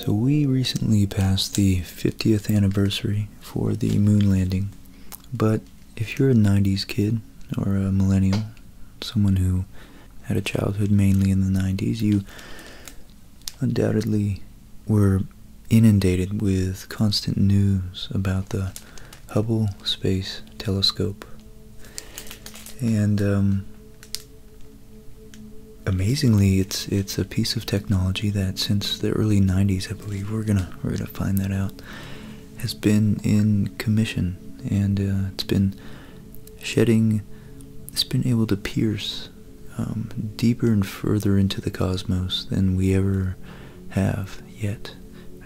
So, we recently passed the 50th anniversary for the moon landing. But if you're a 90s kid or a millennial, someone who had a childhood mainly in the 90s, you undoubtedly were inundated with constant news about the Hubble Space Telescope. And um, amazingly, it's it's a piece of technology that since the early 90s, I believe, we're gonna we're gonna find that out, has been in commission, and uh, it's been shedding, it's been able to pierce um, deeper and further into the cosmos than we ever have yet,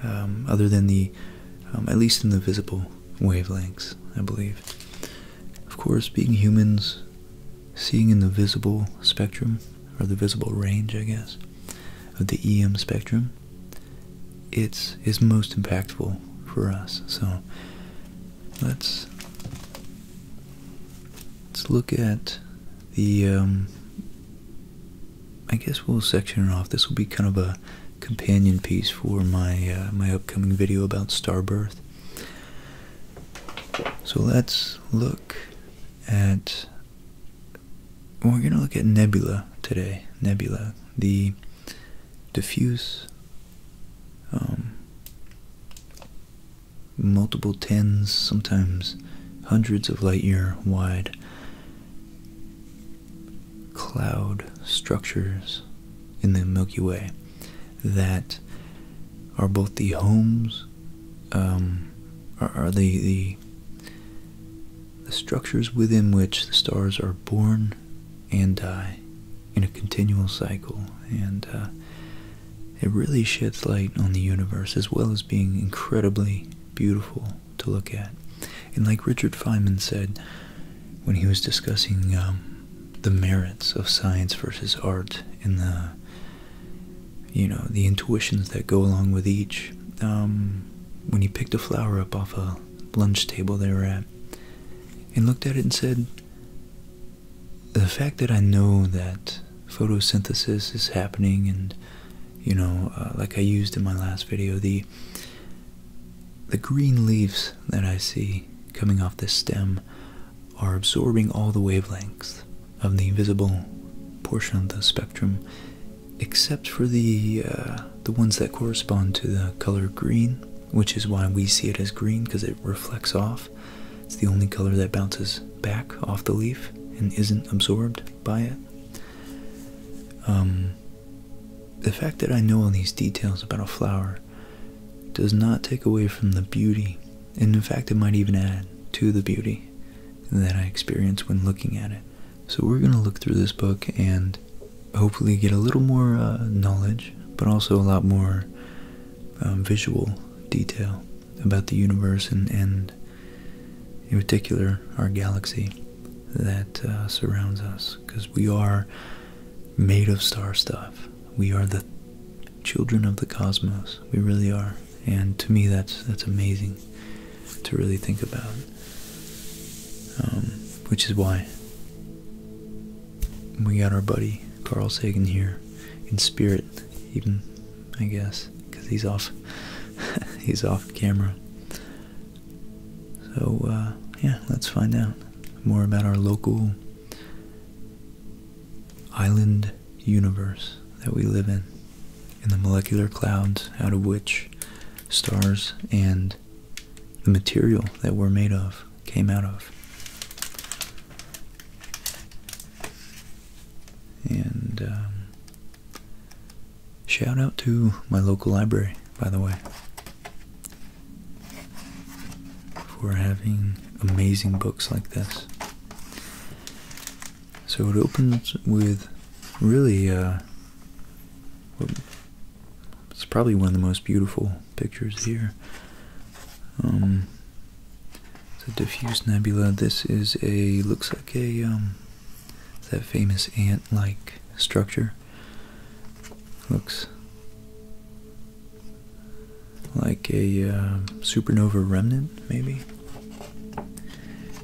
um, other than the, um, at least in the visible wavelengths, I believe. Of course, being humans, seeing in the visible spectrum, or the visible range, I guess, of the EM spectrum, it's is most impactful for us. So let's let's look at the um, I guess we'll section it off. This will be kind of a companion piece for my uh, my upcoming video about star birth. So let's look at we're going to look at nebula today. Nebula, the diffuse um, multiple tens, sometimes hundreds of light year wide cloud structures in the Milky Way that are both the homes, um, are, the, the structures within which the stars are born and die in a continual cycle, and uh, it really sheds light on the universe as well as being incredibly beautiful to look at. And like Richard Feynman said when he was discussing um, the merits of science versus art and the you know the intuitions that go along with each um, when he picked a flower up off a lunch table they were at and looked at it and said the fact that I know that photosynthesis is happening and you know uh, like i used in my last video the the green leaves that i see coming off this stem are absorbing all the wavelengths of the visible portion of the spectrum except for the uh, the ones that correspond to the color green which is why we see it as green because it reflects off it's the only color that bounces back off the leaf and isn't absorbed by it. Um, the fact that I know all these details about a flower does not take away from the beauty, and in fact, it might even add to the beauty that I experience when looking at it. So, we're going to look through this book and hopefully get a little more uh, knowledge, but also a lot more um, visual detail about the universe and, in particular our galaxy that uh, surrounds us because we are made of star stuff we are the children of the cosmos we really are and to me that's that's amazing to really think about um, which is why we got our buddy Carl Sagan here in spirit even I guess because he's off he's off camera so uh, yeah let's find out more about our local island universe that we live in in the molecular clouds out of which stars and the material that we're made of came out of and um, Shout out to my local library, by the way, for having amazing books like this. So it opens with really, uh, it's probably one of the most beautiful pictures here. Um, the diffuse nebula. This is a looks like a um, that famous ant-like structure. Looks like a um, supernova remnant, maybe.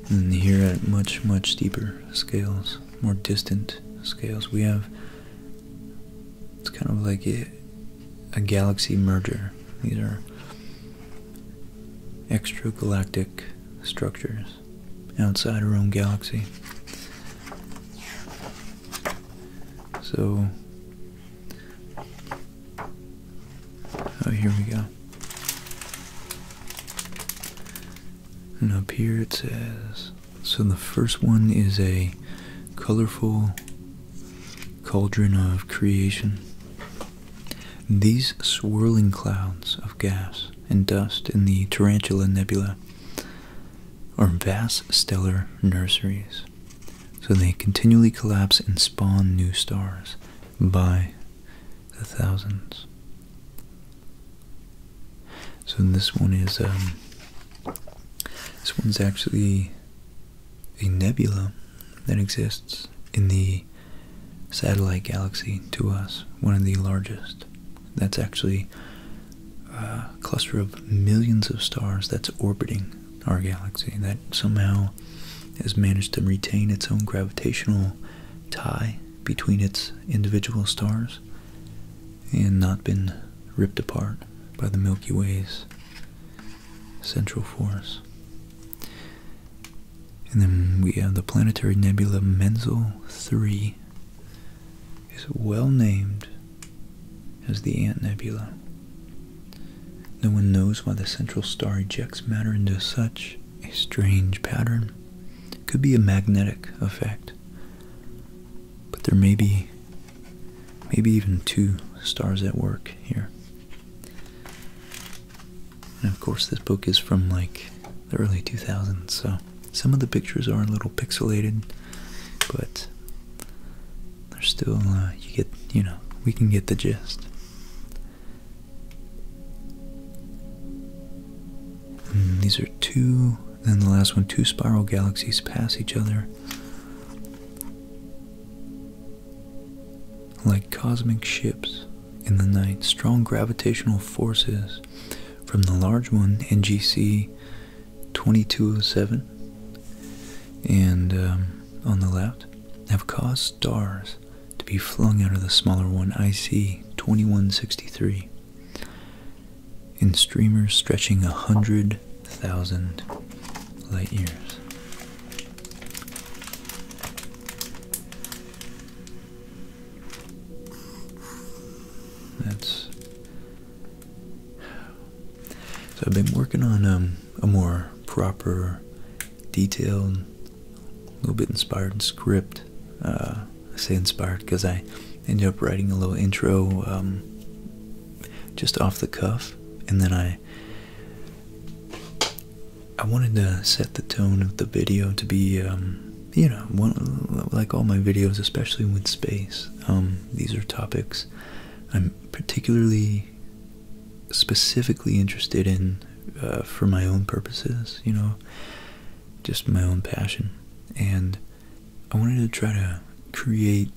And hmm, here at much much deeper scales, more distant scales, we have it's kind of like a, a galaxy merger. These are extragalactic structures outside our own galaxy. So, oh, here we go. And up here it says so the first one is a colorful cauldron of creation. These swirling clouds of gas and dust in the Tarantula Nebula are vast stellar nurseries, so they continually collapse and spawn new stars by the thousands. So this one is um, this one's actually a nebula that exists in the satellite galaxy to us, one of the largest. That's actually a cluster of millions of stars that's orbiting our galaxy that somehow has managed to retain its own gravitational tie between its individual stars and not been ripped apart by the Milky Way's central force. And then we have the planetary nebula Menzel 3. It's well named as the Ant Nebula. No one knows why the central star ejects matter into such a strange pattern. It could be a magnetic effect. But there may be maybe even two stars at work here. And of course, this book is from like the early 2000s, so some of the pictures are a little pixelated, but they're still, uh, you get, you know, we can get the gist. Hmm, these are two, and the last one, two spiral galaxies pass each other. Like cosmic ships in the night, strong gravitational forces from the large one, NGC 2207, and um, on the left, have caused stars to be flung out of the smaller one, IC 2163, in streamers stretching 100,000 light years. That's so. I've been working on um, a more proper, detailed, a little bit inspired script. Uh, I say inspired because I ended up writing a little intro um, just off the cuff, and then I I wanted to set the tone of the video to be, um, you know, like all my videos, especially with space. Um, these are topics I'm particularly, specifically interested in uh, for my own purposes, you know, just my own passion. And I wanted to try to create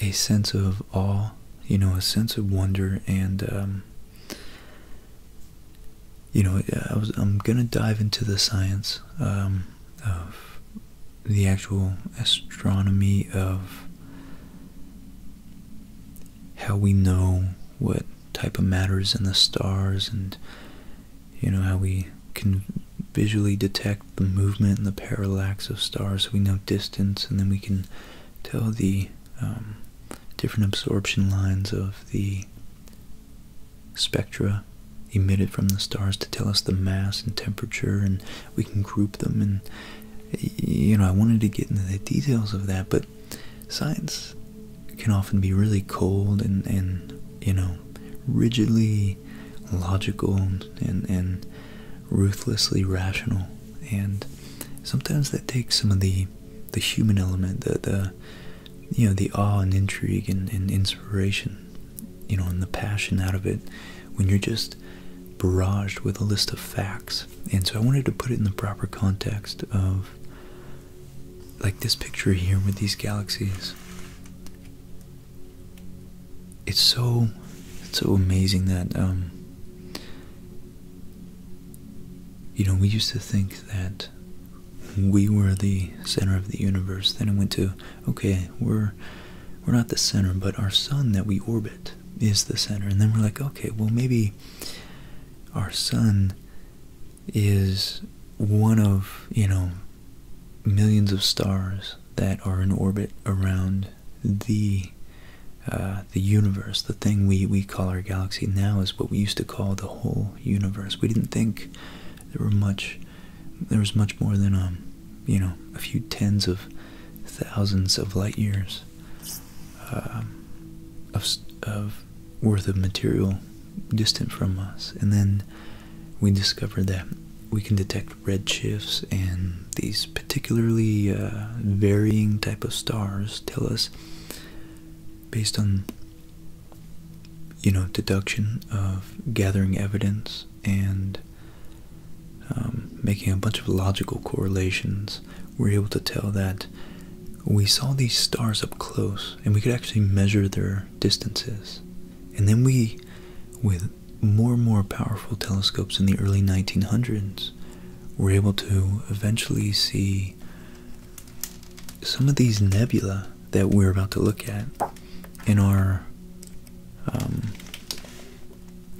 a sense of awe, you know, a sense of wonder and um, you know, I was I'm gonna dive into the science um, of the actual astronomy of how we know what type of matters in the stars and you know how we can visually detect the movement and the parallax of stars so we know distance and then we can tell the um, different absorption lines of the spectra emitted from the stars to tell us the mass and temperature, and we can group them. And you know, I wanted to get into the details of that, but science can often be really cold and and you know rigidly logical and and ruthlessly rational and sometimes that takes some of the the human element, the the you know the awe and intrigue and, inspiration, you know, and the passion out of it when you're just barraged with a list of facts. And so I wanted to put it in the proper context of like this picture here with these galaxies. It's so it's so amazing that um, you know, we used to think that we were the center of the universe. Then it went to, okay, we're we're not the center, but our sun that we orbit is the center. And then we're like, okay, well maybe our sun is one of, you know, millions of stars that are in orbit around the uh, the universe, the thing we, we call our galaxy now, is what we used to call the whole universe. We didn't think there were much, there was much more than um, you know, a few tens of thousands of light years um, of of worth of material distant from us, and then we discovered that we can detect red shifts and these particularly uh, varying type of stars tell us based on you know deduction of gathering evidence and um, making a bunch of logical correlations we're able to tell that we saw these stars up close and we could actually measure their distances and then we with more and more powerful telescopes in the early 1900s were able to eventually see some of these nebula that we're about to look at in our um,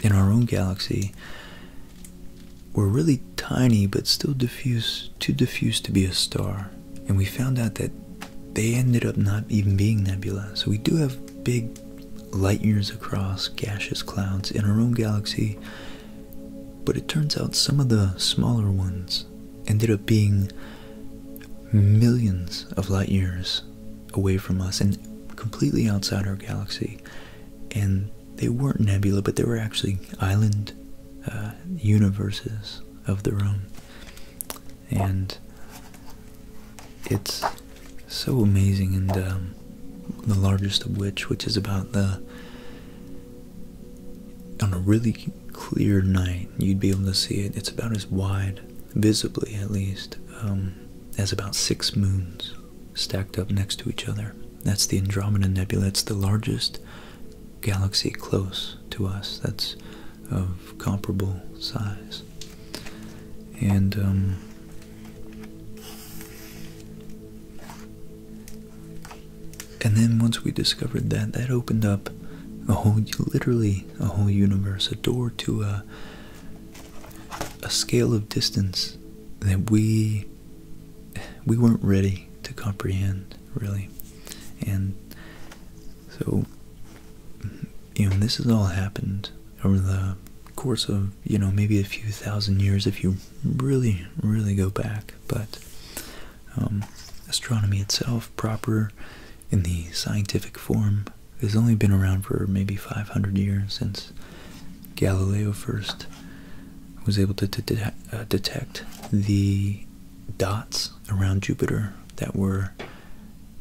in our own galaxy were really tiny but still too diffuse to be a star and we found out that they ended up not even being nebula so we do have big light years across gaseous clouds in our own galaxy but it turns out some of the smaller ones ended up being millions of light years away from us and completely outside our galaxy. And they weren't nebula, but they were actually island uh, universes of their own. And it's so amazing, and um, the largest of which, which is about the on a really clear night, you'd be able to see it. It's about as wide, visibly at least, um, as about six moons stacked up next to each other. That's the Andromeda Nebula. It's the largest galaxy close to us that's of comparable size. And um, and then once we discovered that, that opened up a whole, literally a whole universe, a door to a, a scale of distance that we we weren't ready to comprehend, really. And so, you know, this has all happened over the course of, you know, maybe a few thousand years if you really, really go back, but um, astronomy itself, proper in the scientific form, has only been around for maybe 500 years since Galileo first was able to uh, detect the dots around Jupiter that were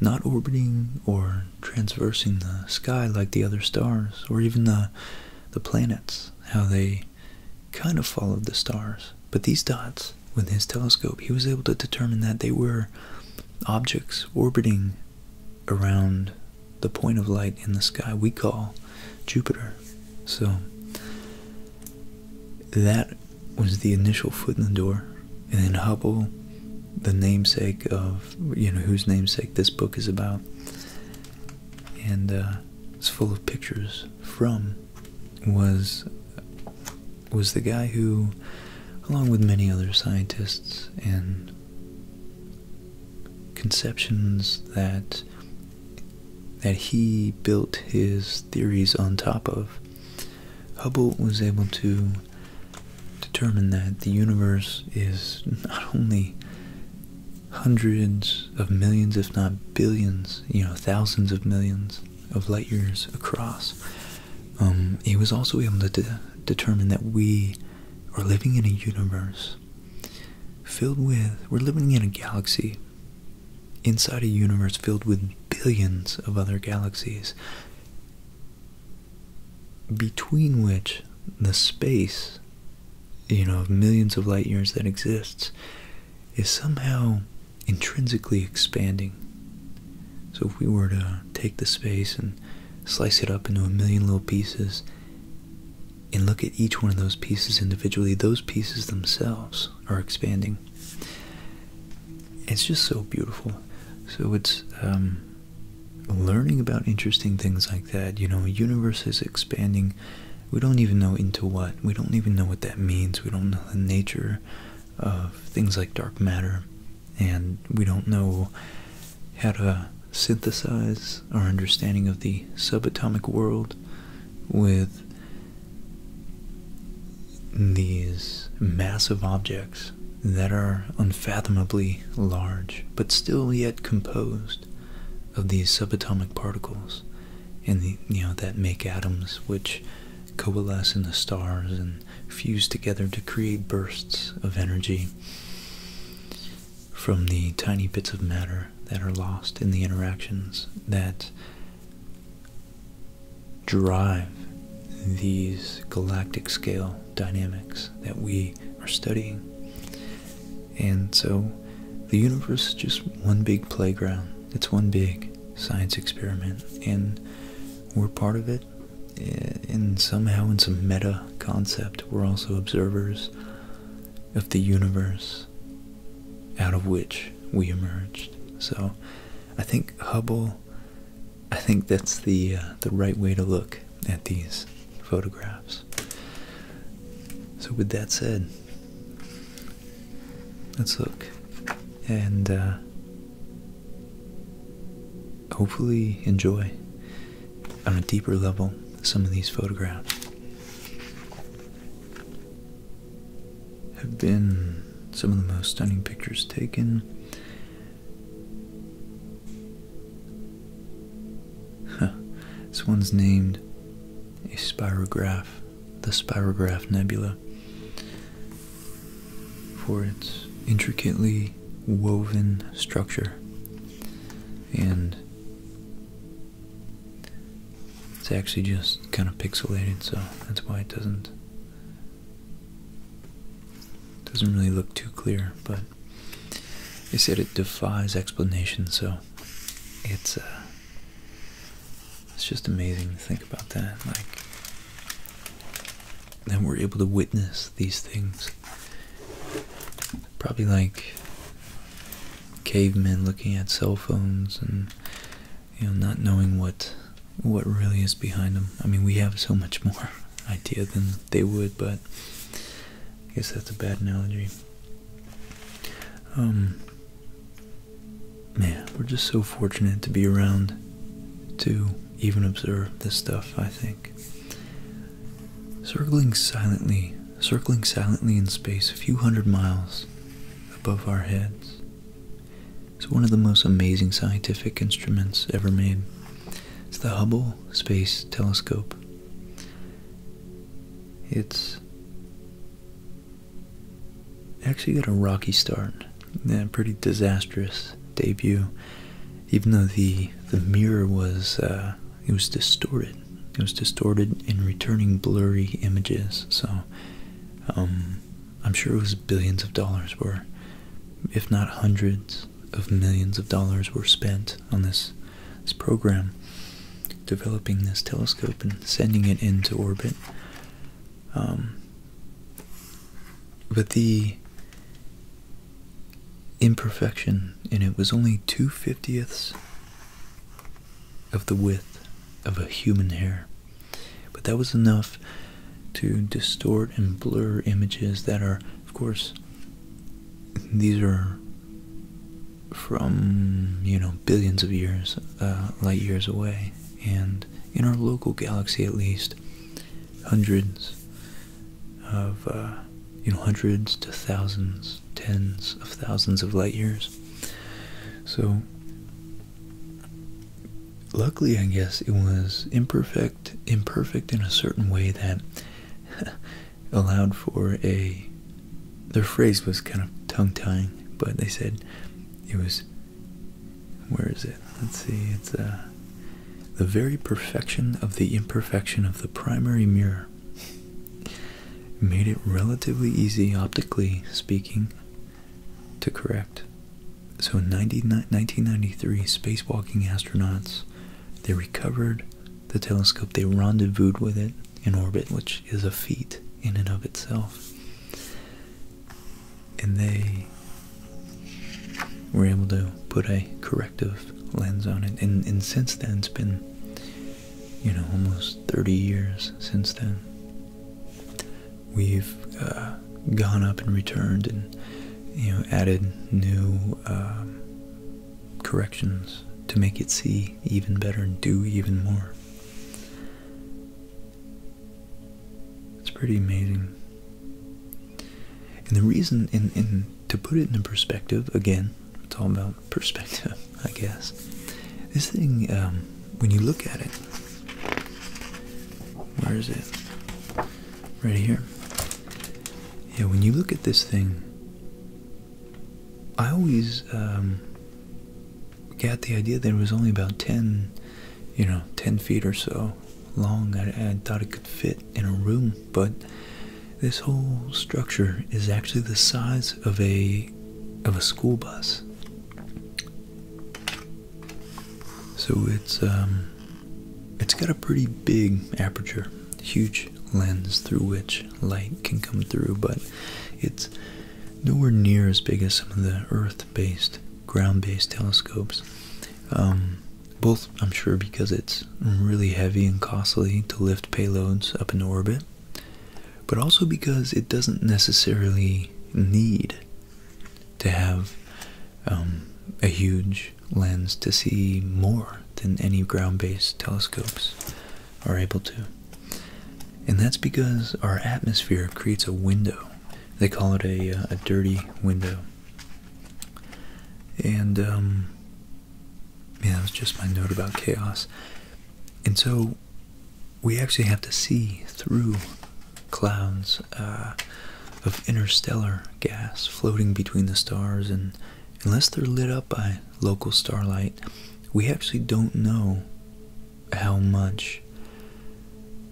not orbiting or transversing the sky like the other stars or even the the planets how they kind of followed the stars. But these dots, with his telescope, he was able to determine that they were objects orbiting around the point of light in the sky we call Jupiter. So that was the initial foot in the door. And then Hubble, the namesake of, you know, whose namesake this book is about, and uh, it's full of pictures from was was the guy who, along with many other scientists and conceptions that that he built his theories on top of, Hubble was able to determine that the universe is not only hundreds of millions, if not billions, you know, thousands of millions of light years across. Um, he was also able to determine that we are living in a universe filled with, we're living in a galaxy inside a universe filled with billions of other galaxies, between which the space you know, of millions of light years that exists is somehow intrinsically expanding. So if we were to take the space and slice it up into a million little pieces and look at each one of those pieces individually, those pieces themselves are expanding. It's just so beautiful. So it's um, learning about interesting things like that. You know, universe is expanding we don't even know into what. We don't even know what that means. We don't know the nature of things like dark matter, and we don't know how to synthesize our understanding of the subatomic world with these massive objects that are unfathomably large but still yet composed of these subatomic particles and you know that make atoms which coalesce in the stars and fuse together to create bursts of energy from the tiny bits of matter that are lost in the interactions that drive these galactic scale dynamics that we are studying and so the universe is just one big playground. It's one big science experiment. And we're part of it. And somehow, in some meta concept, we're also observers of the universe out of which we emerged. So I think Hubble, I think that's the, uh, the right way to look at these photographs. So, with that said, let's look and uh, hopefully enjoy on a deeper level some of these photographs. Have been some of the most stunning pictures taken. This one's named a spirograph, the Spirograph Nebula, for its intricately woven structure and it's actually just kind of pixelated so that's why it doesn't doesn't really look too clear but they said it defies explanation so it's a. Uh, it's just amazing to think about that. Like, and we're able to witness these things. Probably like cavemen looking at cell phones and you know not knowing what what really is behind them. I mean, we have so much more idea than they would, but I guess that's a bad analogy. Um, Man, we're just so fortunate to be around to even observe this stuff, I think. Circling silently, circling silently in space a few hundred miles above our heads. It's one of the most amazing scientific instruments ever made. It's the Hubble Space Telescope. It's Actually got a rocky start. a pretty disastrous debut. Even though the the mirror was uh, it was distorted. It was distorted in returning blurry images. So um, I'm sure it was billions of dollars were, if not hundreds of millions of dollars were spent on this this program developing this telescope and sending it into orbit. Um, but the imperfection and it was only two fiftieths of the width of a human hair. But that was enough to distort and blur images that are, of course, these are from you know billions of years uh, light years away and in our local galaxy at least hundreds of uh, you know hundreds to thousands tens of thousands of light years so luckily i guess it was imperfect imperfect in a certain way that allowed for a their phrase was kind of tongue tying, but they said it was where is it? Let's see, it's uh, the very perfection of the imperfection of the primary mirror made it relatively easy optically speaking to correct. So in 1993, spacewalking astronauts, they recovered the telescope, they rendezvoused with it in orbit, which is a feat in and of itself. And they were able to put a corrective lens on it. And, and since then, it's been, you know, almost 30 years since then. We've uh, gone up and returned and, you know, added new um, corrections to make it see even better and do even more. It's pretty amazing. And the reason, in, in to put it in perspective, again, it's all about perspective, I guess. This thing, um, when you look at it, where is it? Right here. Yeah, when you look at this thing, I always um, got the idea that it was only about 10, you know, 10 feet or so long. I, thought it could fit in a room, but this whole structure is actually the size of a of a school bus. So it's um, it's got a pretty big aperture, huge lens through which light can come through, but it's nowhere near as big as some of the Earth-based, ground-based telescopes. Um, both, I'm sure, because it's really heavy and costly to lift payloads up into orbit, but also because it doesn't necessarily need to have um, a huge lens to see more than any ground-based telescopes are able to. And that's because our atmosphere creates a window. They call it a, uh, a dirty window. And, um, yeah, that was just my note about chaos. And so we actually have to see through clouds uh, of interstellar gas floating between the stars, and unless they're lit up by local starlight, we actually don't know how much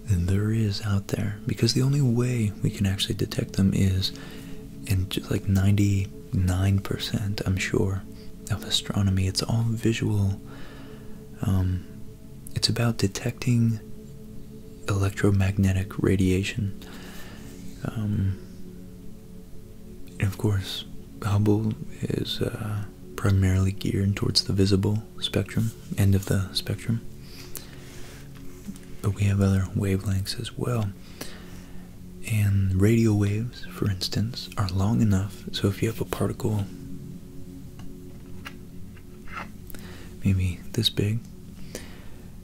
there is out there because the only way we can actually detect them is in just like 99% i'm sure of astronomy it's all visual um, it's about detecting electromagnetic radiation um, and of course hubble is uh, primarily geared towards the visible spectrum, end of the spectrum. But we have other wavelengths as well. And radio waves, for instance, are long enough. So if you have a particle, maybe this big,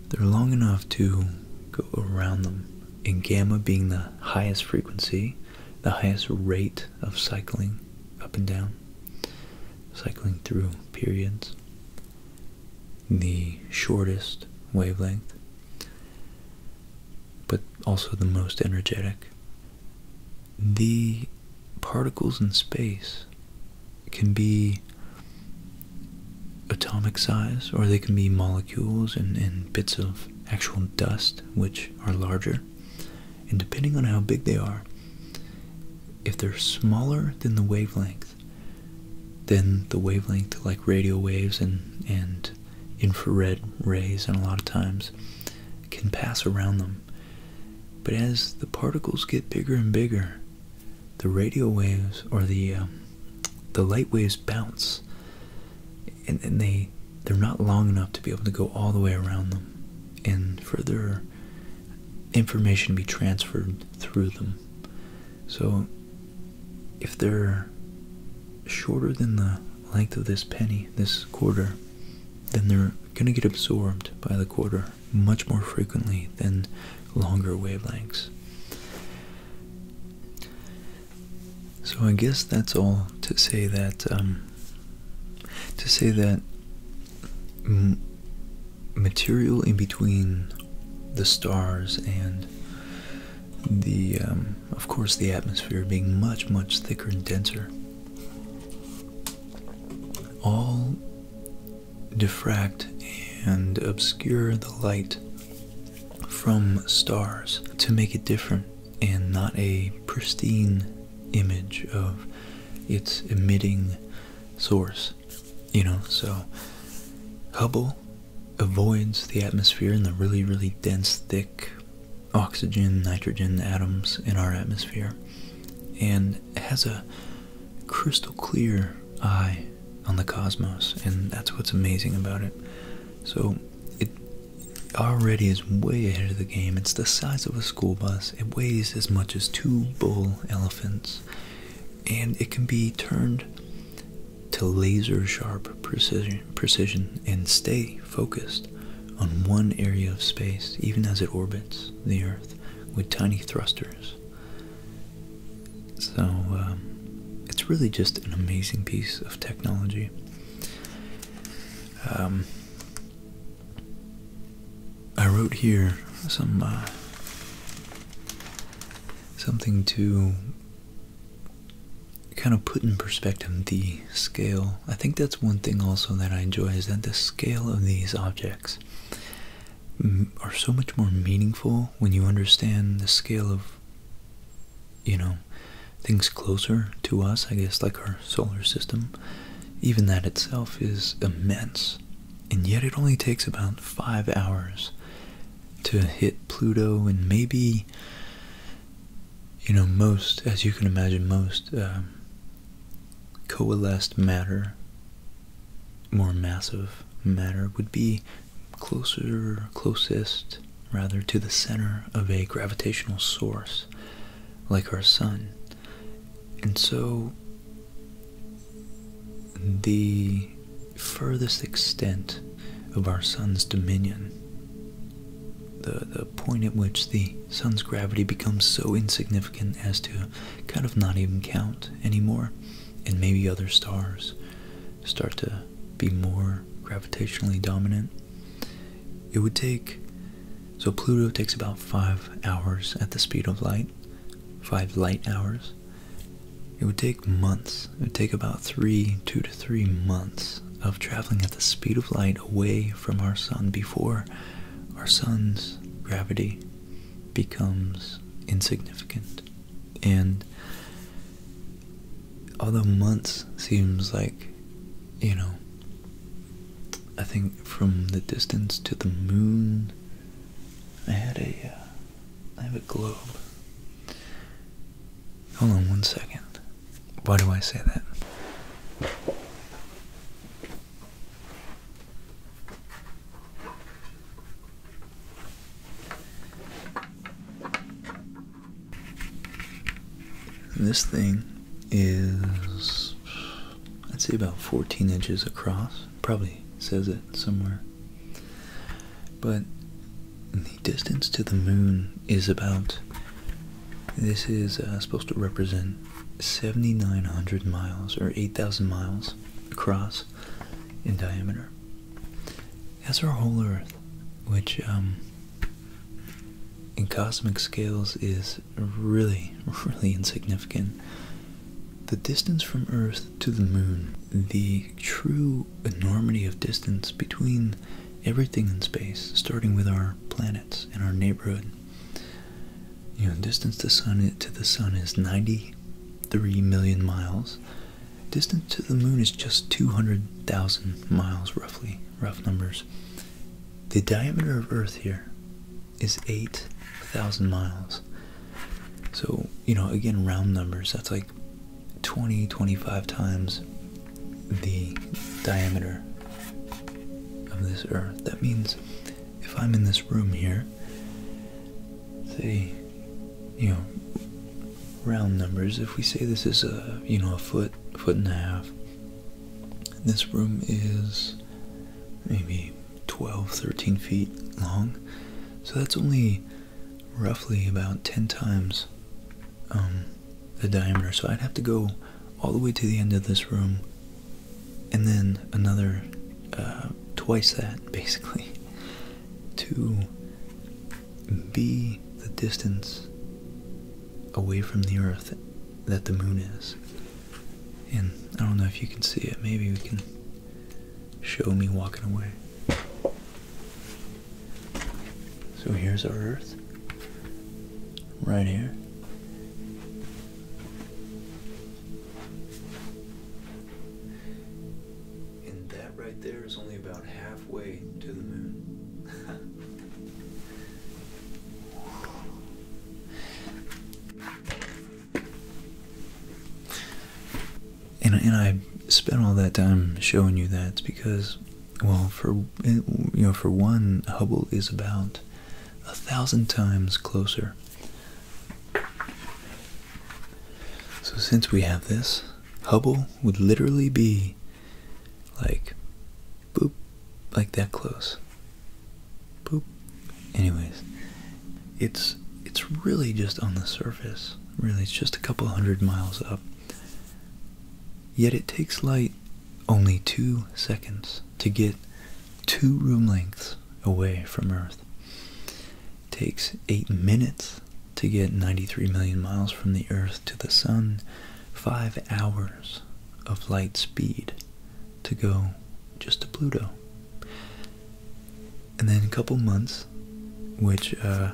they're long enough to go around them. And gamma being the highest frequency, the highest rate of cycling up and down, cycling through periods, the shortest wavelength, but also the most energetic. The particles in space can be atomic size or they can be molecules and, and bits of actual dust which are larger and depending on how big they are, if they're smaller than the wavelength, then the wavelength, like radio waves and, and infrared rays, and a lot of times, can pass around them. But as the particles get bigger and bigger, the radio waves or the um, the light waves bounce and, they they're not long enough to be able to go all the way around them and for their information to be transferred through them so if they're shorter than the length of this penny this quarter then they're going to get absorbed by the quarter much more frequently than longer wavelengths so I guess that's all to say that um, to say that material in between the stars and the um, of course the atmosphere being much much thicker and denser all diffract and obscure the light from stars to make it different and not a pristine image of its emitting source. You know, so Hubble avoids the atmosphere and the really, really dense, thick oxygen, nitrogen atoms in our atmosphere and has a crystal clear eye on the cosmos, and that's what's amazing about it. So it already is way ahead of the game. It's the size of a school bus. It weighs as much as two bull elephants. And it can be turned to laser sharp precision, precision and stay focused on one area of space, even as it orbits the Earth with tiny thrusters. So um, it's really just an amazing piece of technology. Um, I wrote here some uh, something to kind of put in perspective the scale. I think that's one thing also that I enjoy is that the scale of these objects mm, are so much more meaningful when you understand the scale of you know things closer to us, I guess, like our solar system, even that itself is immense. And yet it only takes about five hours to hit Pluto and maybe, you know, most, as you can imagine, most um, coalesced matter, more massive matter, would be closer, closest, rather, to the center of a gravitational source like our sun. And so, the furthest extent of our sun's dominion, the, the point at which the sun's gravity becomes so insignificant as to kind of not even count anymore, and maybe other stars start to be more gravitationally dominant it would take so Pluto takes about five hours at the speed of light, five light hours. It would take months. It would take about three, two to three months of traveling at the speed of light away from our sun before our sun's gravity becomes insignificant. And although months seems like you know, I think from the distance to the moon, I had a, uh, have a globe. Hold on one second. Why do I say that? this thing is, I'd say, about 14 inches across. Probably says it somewhere. But the distance to the moon is about, this is uh, supposed to represent 7,900 miles or 8,000 miles across in diameter. That's our whole Earth, which um, in cosmic scales is really, really insignificant. The distance from Earth to the moon, the true enormity of distance between everything in space, starting with our planets and our neighborhood. You know, distance to the sun is 93 million miles. Distance to the moon is just 200,000 miles roughly rough numbers. The diameter of Earth here is 8,000 miles. So, you know, again, round numbers, that's like 20, 25 times the diameter of this Earth. That means if I'm in this room here, say, you know, round numbers, if we say this is a, you know, a foot, foot and a half, this room is maybe 12, 13 feet long, so that's only roughly about 10 times um, the diameter. So I'd have to go all the way to the end of this room and then another uh, twice that basically to be the distance away from the earth that the moon is. And I don't know if you can see it. Maybe we can show me walking away. So here's our Earth, right here. And that right there is only about halfway to the moon. And, and I spent all that time showing you that because, well, for you know, for one, Hubble is about a thousand times closer. So since we have this, Hubble would literally be like boop, like that close. Boop. Anyways, it's it's really just on the surface. Really, it's just a couple hundred miles up. Yet it takes light only two seconds to get two room lengths away from Earth. takes eight minutes to get 93 million miles from the Earth to the Sun, five hours of light speed to go just to Pluto. And then a couple months, which uh,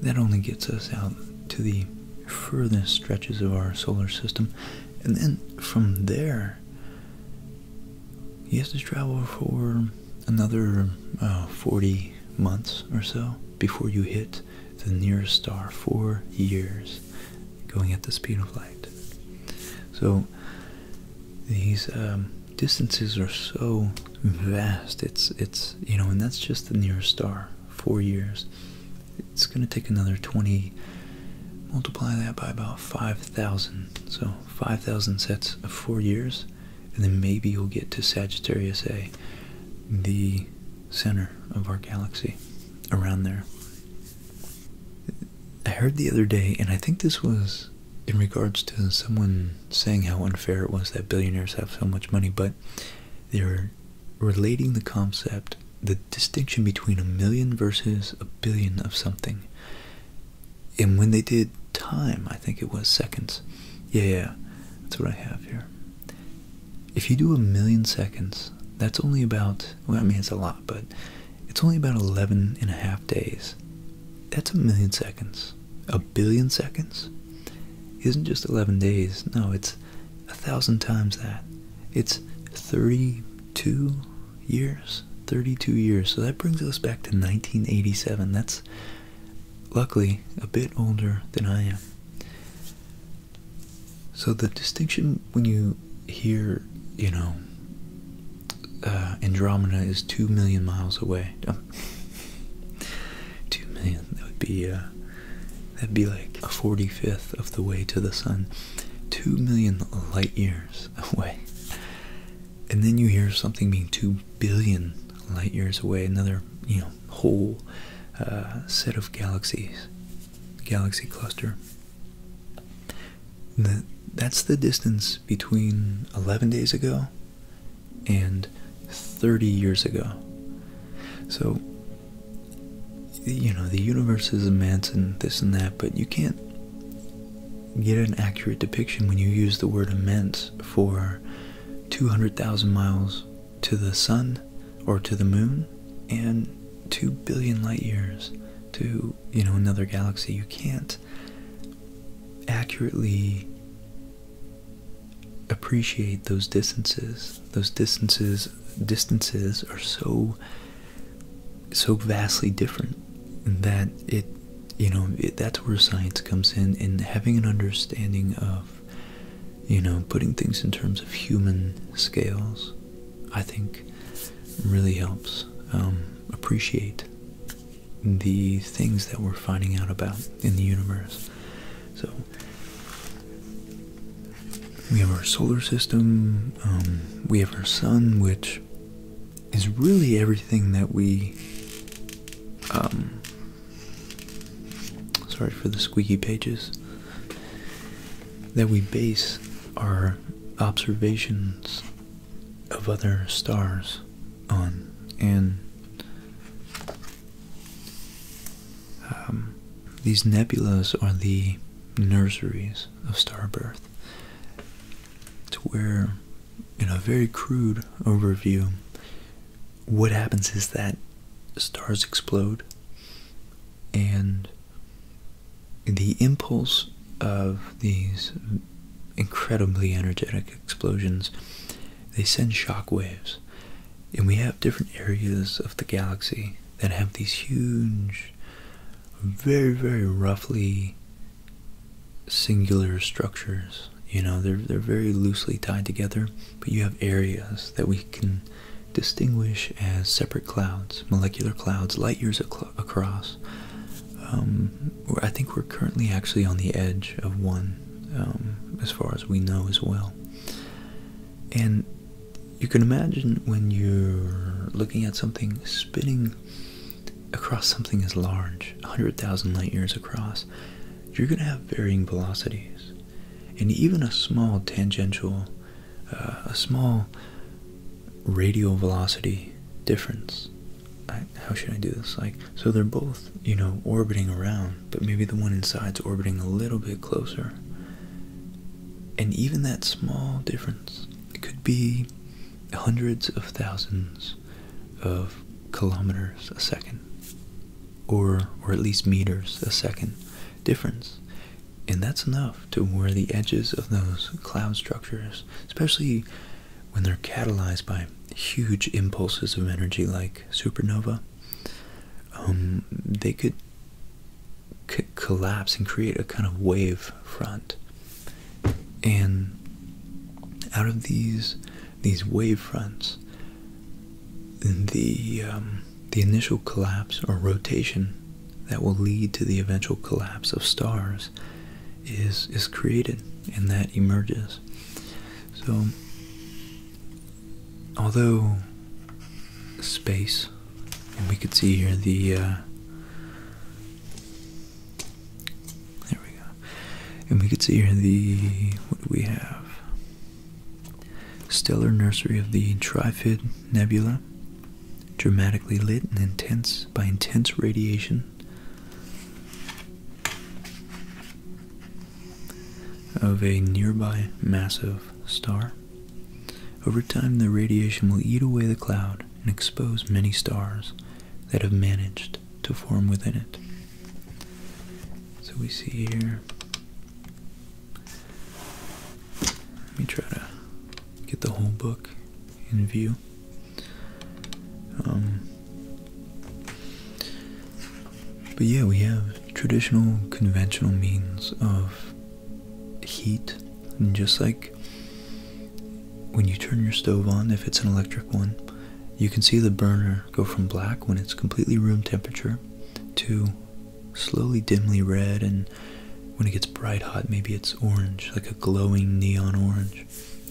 that only gets us out to the furthest stretches of our solar system. And then from there, he has to travel for another uh, 40 months or so before you hit the nearest star four years, going at the speed of light. So these um, distances are so vast. It's it's you know, and that's just the nearest star. Four years. It's going to take another twenty. Multiply that by about five thousand. So five thousand sets of four years, and then maybe you'll get to Sagittarius A, the center of our galaxy, around there. I heard the other day, and I think this was in regards to someone saying how unfair it was that billionaires have so much money, but they were relating the concept, the distinction between a million versus a billion of something. And when they did time, I think it was seconds. Yeah, yeah, that's what I have here if you do a million seconds, that's only about, I mean, it's a lot, but it's only about 11 and a half days. That's a million seconds. A billion seconds isn't just 11 days. No, it's a thousand times that. It's 32 years. 32 years. So that brings us back to 1987. That's luckily a bit older than I am. So the distinction when you hear, you know, uh, Andromeda is two million miles away. two million. That would be. Uh, that'd be like a forty-fifth of the way to the sun. Two million light years away. And then you hear something being two billion light years away. Another, you know, whole uh, set of galaxies, galaxy cluster. that's the distance between 11 days ago and 30 years ago. So, you know, the universe is immense and this and that, but you can't get an accurate depiction when you use the word immense for 200,000 miles to the sun or to the moon and 2 billion light years to you know another galaxy you can't accurately appreciate those distances those distances distances are so so vastly different that it you know that's where science comes in and having an understanding of you know, putting things in terms of human scales, I think really helps um, appreciate the things that we're finding out about in the universe. So, we have our solar system, um, we have our sun, which is really everything that we um, Sorry for the squeaky pages. That we base our observations of other stars on, and um, these nebulae are the nurseries of star birth. To where, in a very crude overview, what happens is that stars explode and the impulse of these incredibly energetic explosions they send shock waves and we have different areas of the galaxy that have these huge very very roughly singular structures you know they're they're very loosely tied together but you have areas that we can distinguish as separate clouds, molecular clouds, light years across. Um, I think we're currently actually on the edge of one, um, as far as we know as well. And you can imagine when you're looking at something spinning across something as large, 100,000 light years across, you're going to have varying velocities and even a small tangential, uh, a small radial velocity difference. how should I do this? Like, so they're both, you know, orbiting around, but maybe the one inside's orbiting a little bit closer. And even that small difference could be hundreds of thousands of kilometers a second or or at least meters a second difference and that's enough to where the edges of those cloud structures especially when they're catalyzed by huge impulses of energy like supernova um, they could collapse and create a kind of wave front and out of these these wave fronts the um, the initial collapse or rotation that will lead to the eventual collapse of stars is is created and that emerges. So although space and we could see here the uh, there we go and we could see here the what do we have Stellar nursery of the Trifid Nebula, dramatically lit and intense by intense radiation. Of a nearby massive star. Over time, the radiation will eat away the cloud and expose many stars that have managed to form within it. So we see here let me try to get the whole book in view. Um, but yeah, we have traditional, conventional means of heat, and just like when you turn your stove on, if it's an electric one, you can see the burner go from black when it's completely room temperature to slowly dimly red, and when it gets bright hot, maybe it's orange, like a glowing neon orange.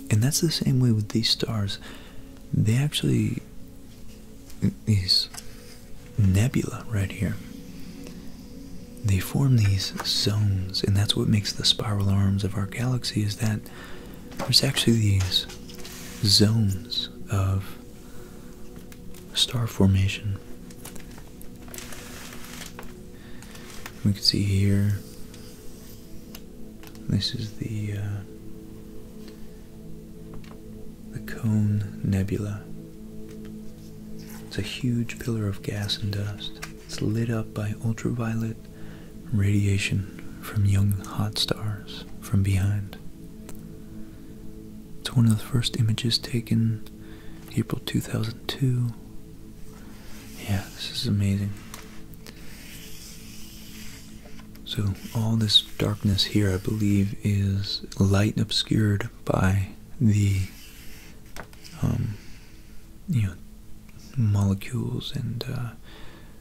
And that's the same way with these stars. They actually, these nebula right here, they form these zones, and that's what makes the spiral arms of our galaxy is that there's actually these zones of star formation. We can see here. This is the uh, the Cone Nebula. It's a huge pillar of gas and dust. It's lit up by ultraviolet radiation from young hot stars from behind. It's one of the first images taken April 2002. Yeah, this is amazing. So, all this darkness here, I believe, is light obscured by the, um, you know, molecules and uh,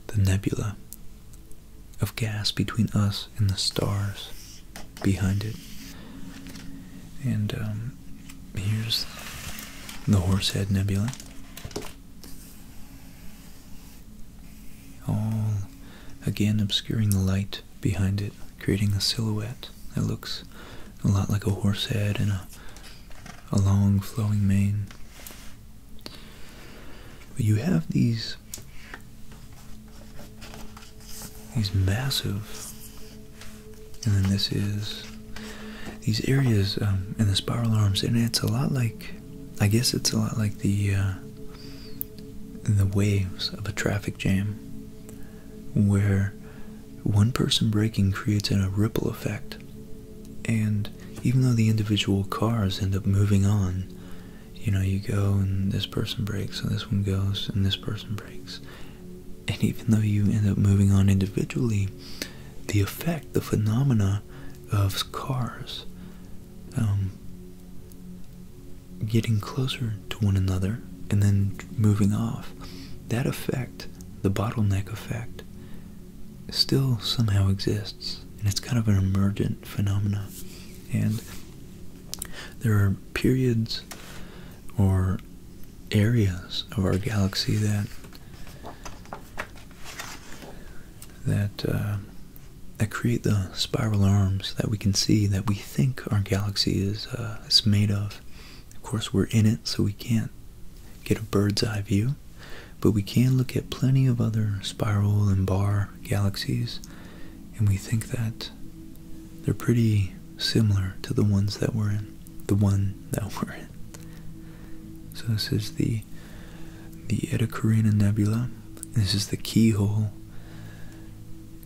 the nebula of gas between us and the stars behind it. And um, here's the Horsehead Nebula. All again obscuring the light behind it, creating a silhouette that looks a lot like a horse head and a, a long flowing mane. But you have these these massive. And then this is these areas um, in the spiral arms, and it's a lot like, I guess it's a lot like the uh, the waves of a traffic jam, where one person braking creates a ripple effect, and even though the individual cars end up moving on, you know, you go and this person breaks, and this one goes, and this person breaks. And even though you end up moving on individually, the effect, the phenomena of cars um, getting closer to one another and then moving off, that effect, the bottleneck effect, still somehow exists. And it's kind of an emergent phenomena. And there are periods or areas of our galaxy that that uh, that create the spiral arms that we can see that we think our galaxy is uh, is made of. Of course, we're in it, so we can't get a bird's eye view, but we can look at plenty of other spiral and bar galaxies, and we think that they're pretty similar to the ones that we're in. The one that we're in. So this is the the Eta Carina Nebula. This is the keyhole.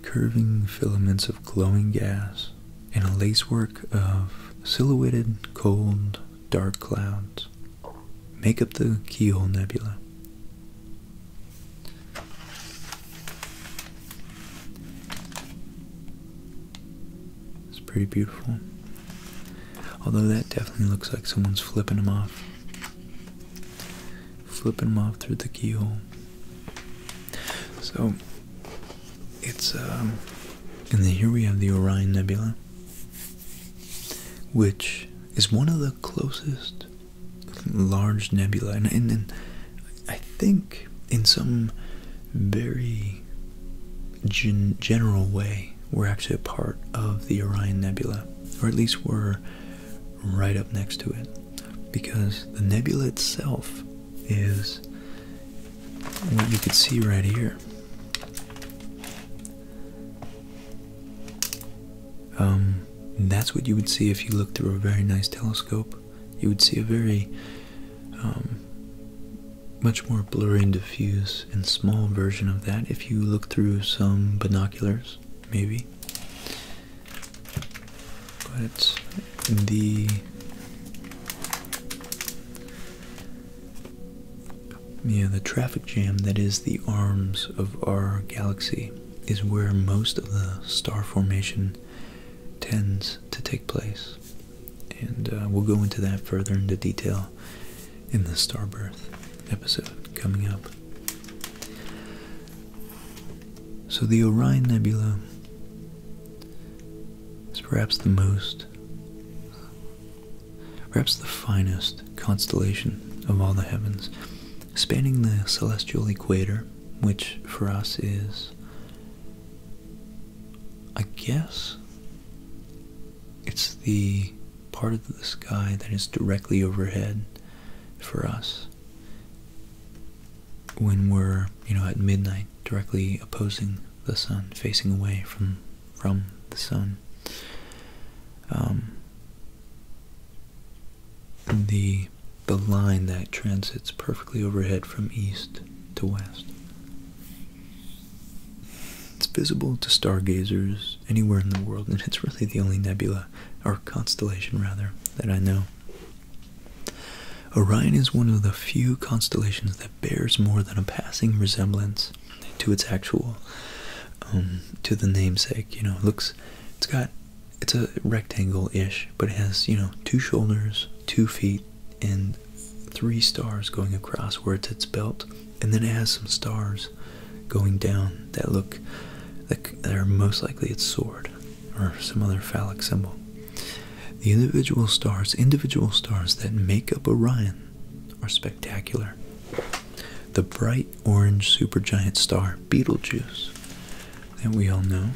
Curving filaments of glowing gas and a lacework of silhouetted, cold, dark clouds make up the keyhole nebula. It's pretty beautiful. Although that definitely looks like someone's flipping them off. Flipping them off through the keyhole. So, it's, um, and then here we have the Orion Nebula, which is one of the closest large nebula, and, and, I think in some very gen general way, we're actually a part of the Orion Nebula, or at least we're right up next to it, because the nebula itself is what you could see right here. Um, that's what you would see if you looked through a very nice telescope you would see a very um, much more blurry and diffuse and small version of that if you look through some binoculars, maybe. But the yeah, the traffic jam that is the arms of our galaxy is where most of the star formation tends to take place. And uh, we'll go into that further into detail in the Starbirth episode coming up. So, the Orion Nebula is perhaps the most, perhaps the finest constellation of all the heavens, spanning the celestial equator which for us is, I guess, it's the part of the sky that is directly overhead for us when we're, you know, at midnight, directly opposing the sun, facing away from from the sun. Um, the the line that transits perfectly overhead from east to west. It's visible to stargazers anywhere in the world, and it's really the only nebula, or constellation rather, that I know. Orion is one of the few constellations that bears more than a passing resemblance to its actual, um, to the namesake. You know, it looks, it's got it's a rectangle-ish, but it has, you know, two shoulders, two feet, and three stars going across where it's its belt, and then it has some stars going down that look like they're most likely its sword or some other phallic symbol. The individual stars, individual stars that make up Orion are spectacular. The bright orange supergiant star Betelgeuse that we all know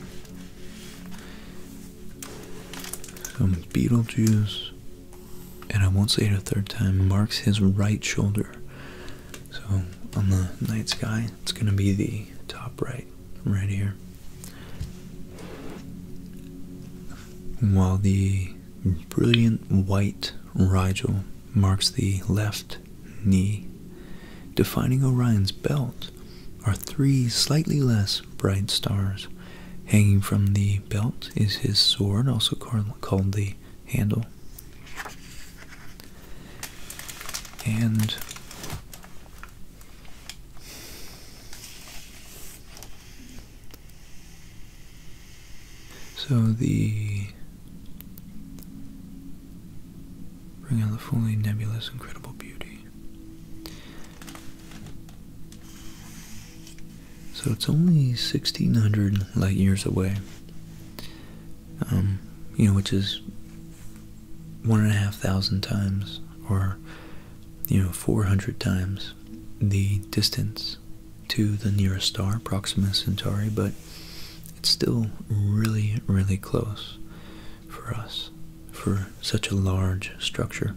some Beetlejuice, and I won't say it a third time, marks his right shoulder. So on the night sky, it's going to be the top right, right here. While the brilliant white Rigel marks the left knee. Defining Orion's belt are three slightly less bright stars. Hanging from the belt is his sword, also called the handle. And so the bring out the fully nebulous, incredible beauty. So it's only 1600 light years away, um, you know, which is one and a half thousand times or, you know, 400 times the distance to the nearest star, Proxima Centauri, but it's still really, really close for us for such a large structure.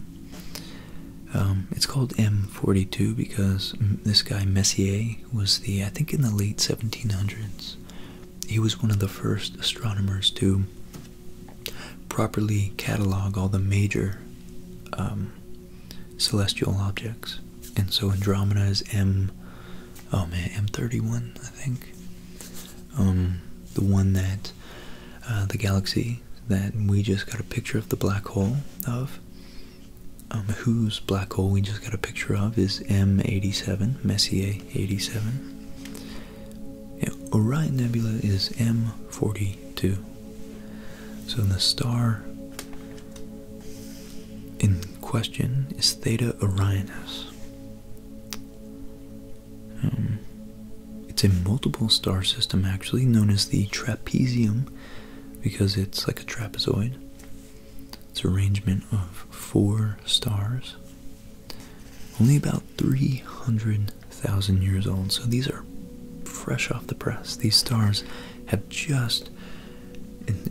Um, it's called M42 because this guy Messier was the, I think in the late 1700s, he was one of the first astronomers to properly catalog all the major um, celestial objects. And so Andromeda is M, oh man, M31, I think. Um, the one that uh, the galaxy that we just got a picture of the black hole of. Um, whose black hole we just got a picture of is M87, Messier 87. Orion Nebula is M42. So the star in question is Theta Orionis. Um, it's a multiple star system actually known as the trapezium because it's like a trapezoid. It's arrangement of four stars. Only about 300,000 years old, so these are fresh off the press. These stars have just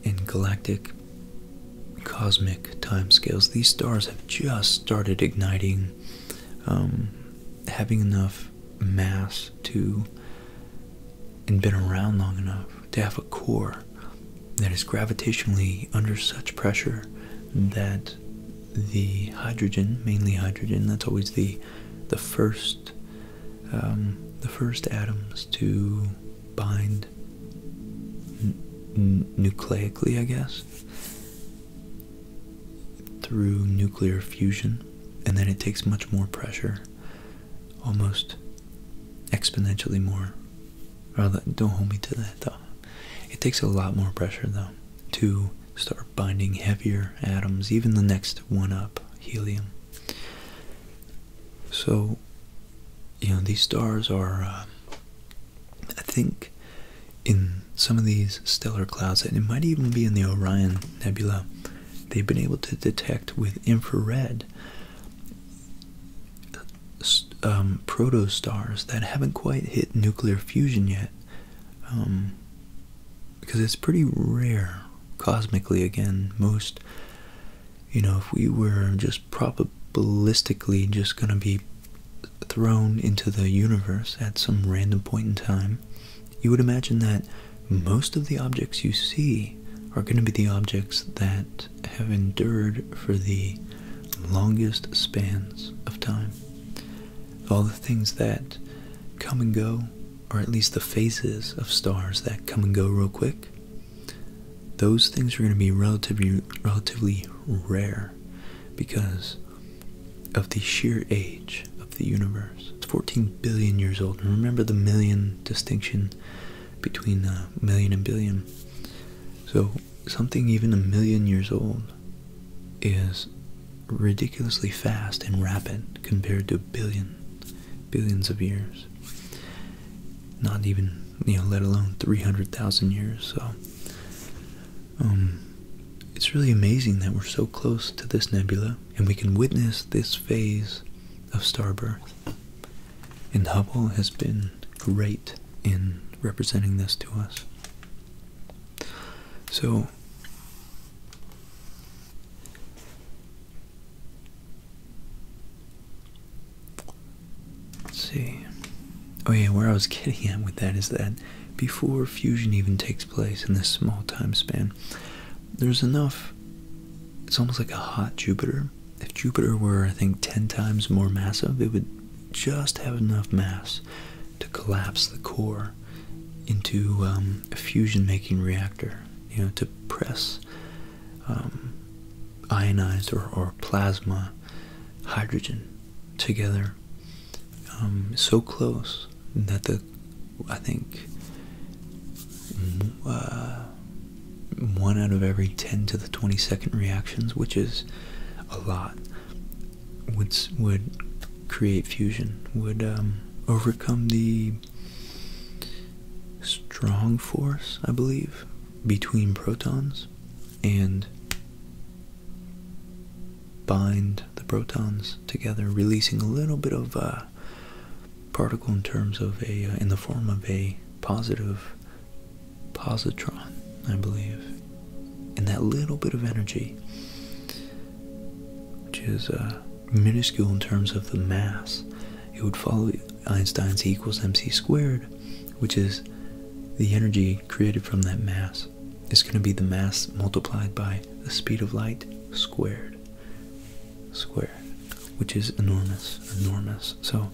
in galactic cosmic timescales, these stars have just started igniting, um, having enough mass to, and been around long enough to have a core that is gravitationally under such pressure that the hydrogen, mainly hydrogen, that's always the the first um, the first atoms to bind nucleically, I guess, through nuclear fusion, and then it takes much more pressure, almost exponentially more. Don't hold me to that though. It takes a lot more pressure though to start binding heavier atoms, even the next one up, helium. So you know these stars are um, i think in some of these stellar clouds and it might even be in the orion nebula they've been able to detect with infrared um, protostars that haven't quite hit nuclear fusion yet um, because it's pretty rare cosmically again most you know if we were just probabilistically just going to be thrown into the universe at some random point in time, you would imagine that most of the objects you see are going to be the objects that have endured for the longest spans of time. All the things that come and go, or at least the phases of stars that come and go real quick, those things are going to be relatively, relatively rare because of the sheer age of the universe. It's 14 billion years old. remember the million distinction between uh, million and billion. So something even a million years old is ridiculously fast and rapid compared to billions, billion, billions of years. Not even you know, let alone 300,000 years. So, um, it's really amazing that we're so close to this nebula and we can witness this phase of star birth. And Hubble has been great in representing this to us. So, Let's see. Oh yeah, where I was getting at with that is that before fusion even takes place in this small time span, there's enough. It's almost like a hot Jupiter. If Jupiter were, I think, 10 times more massive, it would just have enough mass to collapse the core into um, a fusion making reactor, you know, to press um, ionized or plasma hydrogen together um, so close that the I think mm, uh, one out of every 10 to the 22nd reactions, which is a lot, would would create fusion, would um, overcome the strong force, I believe, between protons and bind the protons together, releasing a little bit of a uh, particle in terms of a, uh, in the form of a positive positron, I believe. And that little bit of energy, which is uh, minuscule in terms of the mass, it would follow Einstein's E equals mc squared which is the energy created from that mass is going to be the mass multiplied by the speed of light squared squared which is enormous enormous so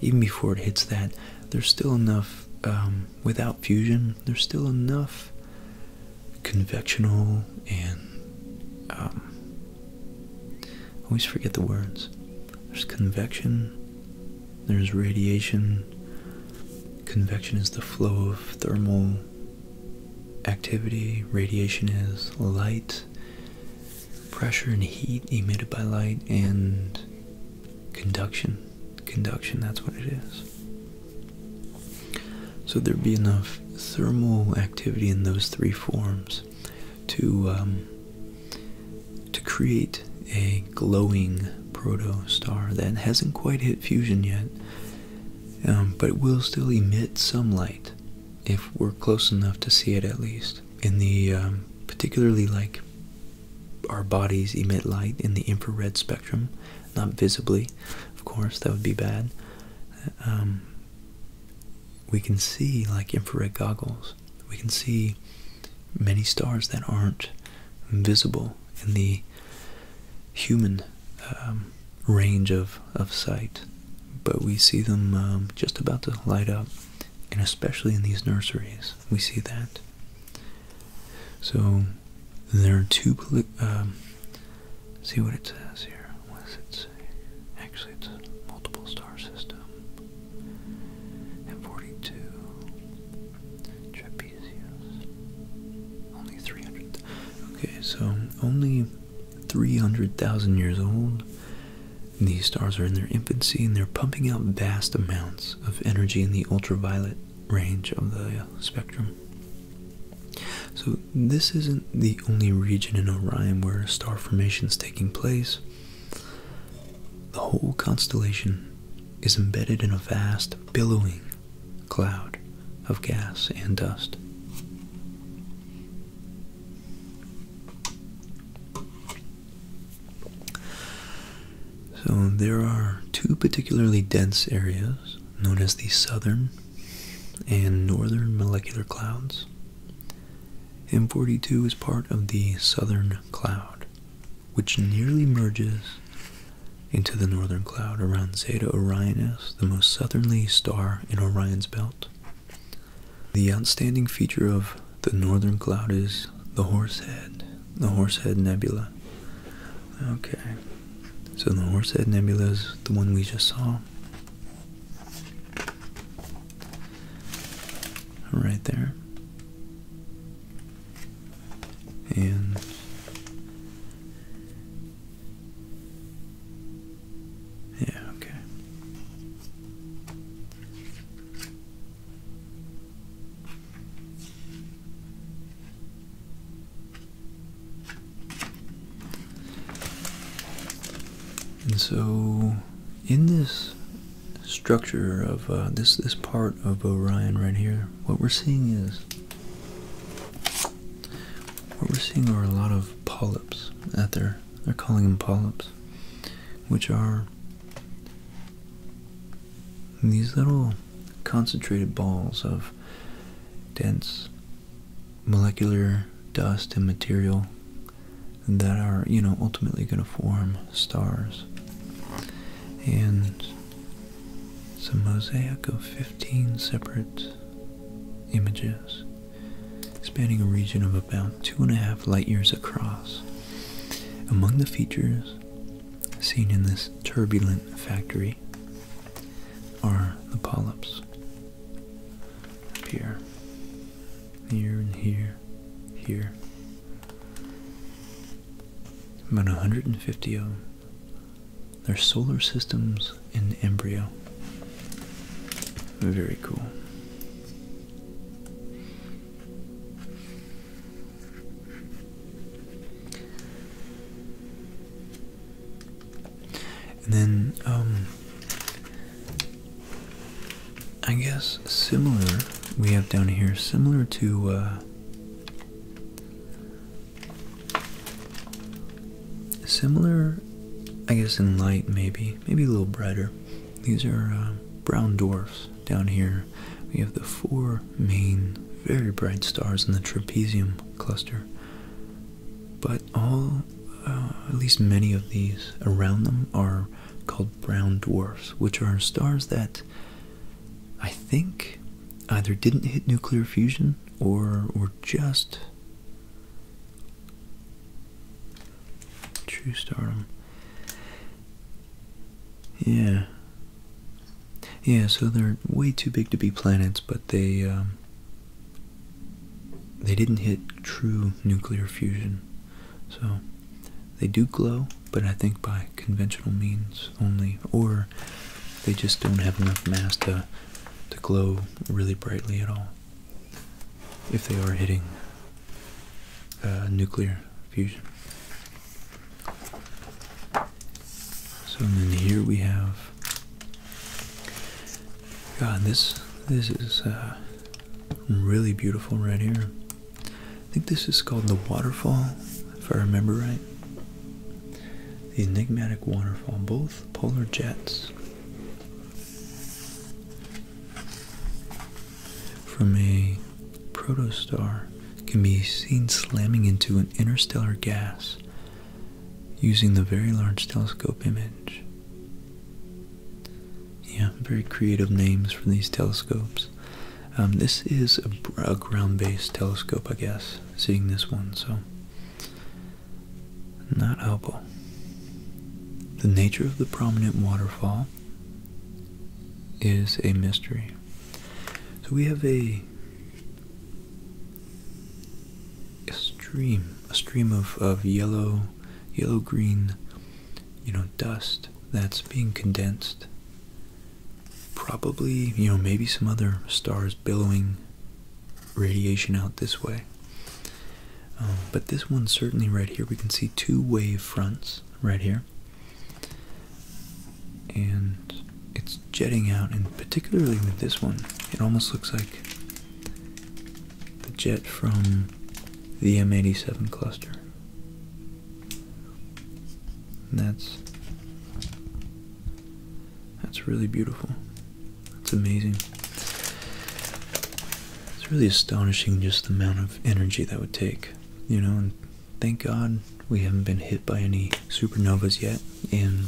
even before it hits that there's still enough um, without fusion there's still enough convectional and um, I always forget the words there's convection there's radiation. Convection is the flow of thermal activity. Radiation is light, pressure and heat emitted by light, and conduction. Conduction, that's what it is. So there'd be enough thermal activity in those three forms to um, to create a glowing proto star that hasn't quite hit fusion yet, um, but will still emit some light if we're close enough to see it at least. In the um, particularly like our bodies emit light in the infrared spectrum, not visibly, of course, that would be bad. Um, we can see like infrared goggles. We can see many stars that aren't visible in the human um, range of, of sight, but we see them um, just about to light up, and especially in these nurseries, we see that. So there are two. Um, see what it says here. What does it say? Actually, it's a multiple star system. And 42. Trip Okay, so only 300,000 years old. These stars are in their infancy and they're pumping out vast amounts of energy in the ultraviolet range of the uh, spectrum. So, this isn't the only region in Orion where star formation is taking place. The whole constellation is embedded in a vast billowing cloud of gas and dust. So there are two particularly dense areas known as the southern and northern molecular clouds. M42 is part of the southern cloud, which nearly merges into the northern cloud around Zeta Orionis, the most southerly star in Orion's belt. The outstanding feature of the northern cloud is the Horsehead, the Horsehead Nebula. Okay, so the Horsehead Nebula is the one we just saw. Right there and yeah, okay. And so, in this structure of uh, this this part of Orion right here, what we're seeing is what we're seeing are a lot of polyps out there. They're calling them polyps, which are these little concentrated balls of dense molecular dust and material that are, you know, ultimately going to form stars. And it's a mosaic of 15 separate images spanning a region of about two and a half light years across. Among the features seen in this turbulent factory are the polyps here, here and here, here about 150 of them. they solar systems in embryo. Very cool. And then, um, I guess similar, we have down here, similar to, uh, Similar, I guess, in light, maybe, maybe a little brighter. These are uh, brown dwarfs down here. We have the four main, very bright stars in the trapezium cluster, but all, uh, at least many of these around them, are called brown dwarfs, which are stars that I think either didn't hit nuclear fusion or or just true stardom. Yeah. Yeah, so they're way too big to be planets, but they um, they didn't hit true nuclear fusion. So they do glow, but I think by conventional means only, or they just don't have enough mass to, to glow really brightly at all if they are hitting uh, nuclear fusion. So then here we have God this this is uh, really beautiful right here. I think this is called the waterfall, if I remember right. The enigmatic waterfall, both polar jets. From a protostar can be seen slamming into an interstellar gas using the Very Large Telescope image. Yeah, very creative names for these telescopes. Um, this is a, ground-based telescope, I guess. Seeing this one, so not oboe. The nature of the prominent waterfall is a mystery. So we have a, a stream, a stream of, of yellow, yellow green, you know, dust that's being condensed probably, you know, maybe some other stars billowing radiation out this way. Um, but this one certainly right here, we can see two wave fronts right here. And it's jetting out, and particularly with this one, it almost looks like the jet from the M87 cluster. And that's that's really beautiful. That's amazing. It's really astonishing just the amount of energy that would take, you know. And thank God we haven't been hit by any supernovas yet, and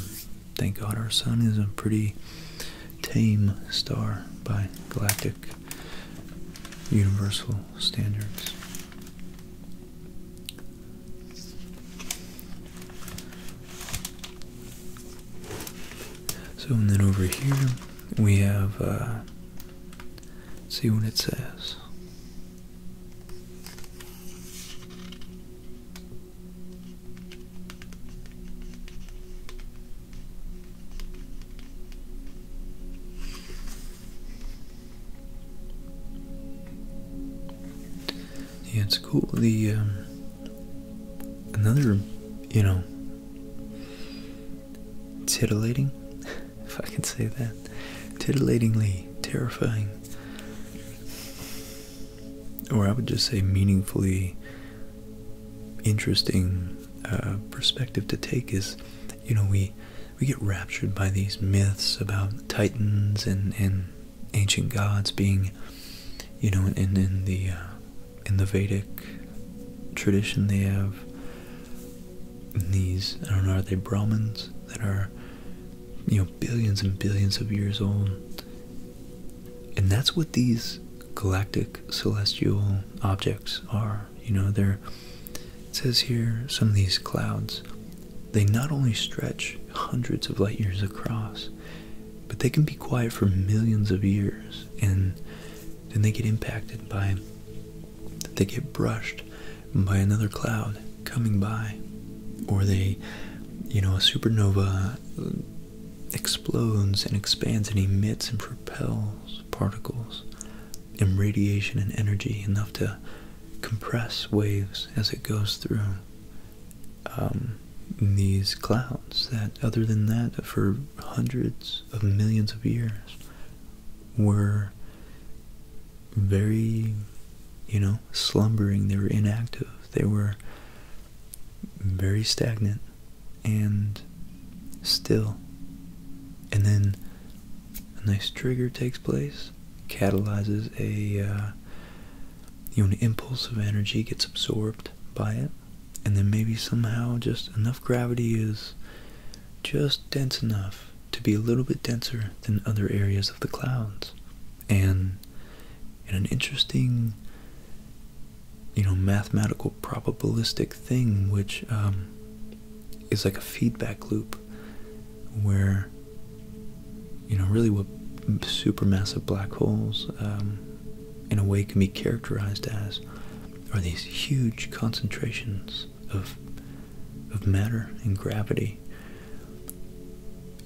thank God our sun is a pretty tame star by galactic universal standards. So, and then over here we have, uh, see what it says. Yeah, it's cool. The um, another, you know, titillating, if I can say that, titillatingly terrifying, or I would just say meaningfully interesting uh, perspective to take is, you know, we we get raptured by these myths about titans and ancient gods being, you know, in the uh, in the Vedic tradition they have these I don't know are they Brahmins that are you know billions and billions of years old, and that's what these galactic celestial objects are. You know, there. it says here some of these clouds they not only stretch hundreds of light years across, but they can be quiet for millions of years and then they get impacted by they get brushed by another cloud coming by or they you know a supernova uh, explodes and expands and emits and propels particles and radiation and energy enough to compress waves as it goes through um, these clouds that, other than that, for hundreds of millions of years were very, you know, slumbering. They were inactive. They were very stagnant and still. And then a nice trigger takes place, catalyzes a uh, you know an impulse of energy gets absorbed by it, and then maybe somehow just enough gravity is just dense enough to be a little bit denser than other areas of the clouds, and in an interesting you know mathematical probabilistic thing which um, is like a feedback loop where you know really what supermassive black holes um, in a way can be characterized as are these huge concentrations of of matter and gravity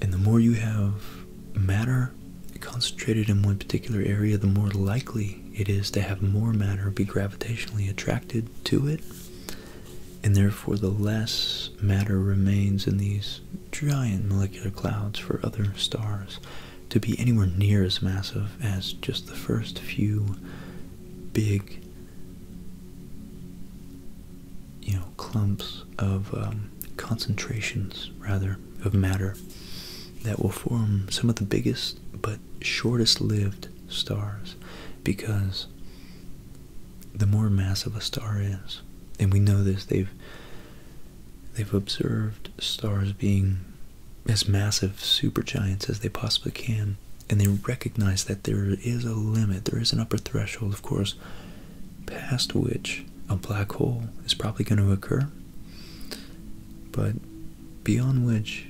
and the more you have matter concentrated in one particular area the more likely it is to have more matter be gravitationally attracted to it and therefore the less matter remains in these giant molecular clouds for other stars to be anywhere near as massive as just the first few big you know clumps of um, concentrations rather of matter that will form some of the biggest but shortest lived stars because the more massive a star is, and we know this, they've they've observed stars being as massive supergiants as they possibly can, and they recognize that there is a limit, there is an upper threshold, of course, past which a black hole is probably going to occur, but beyond which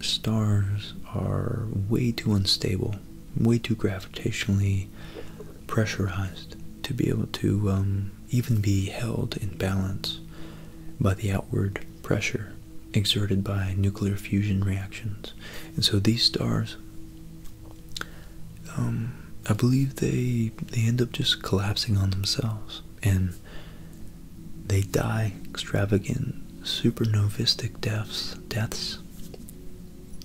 stars are way too unstable way too gravitationally pressurized to be able to um, even be held in balance by the outward pressure exerted by nuclear fusion reactions. And so these stars, um, I believe they they end up just collapsing on themselves and they die extravagant supernovistic deaths deaths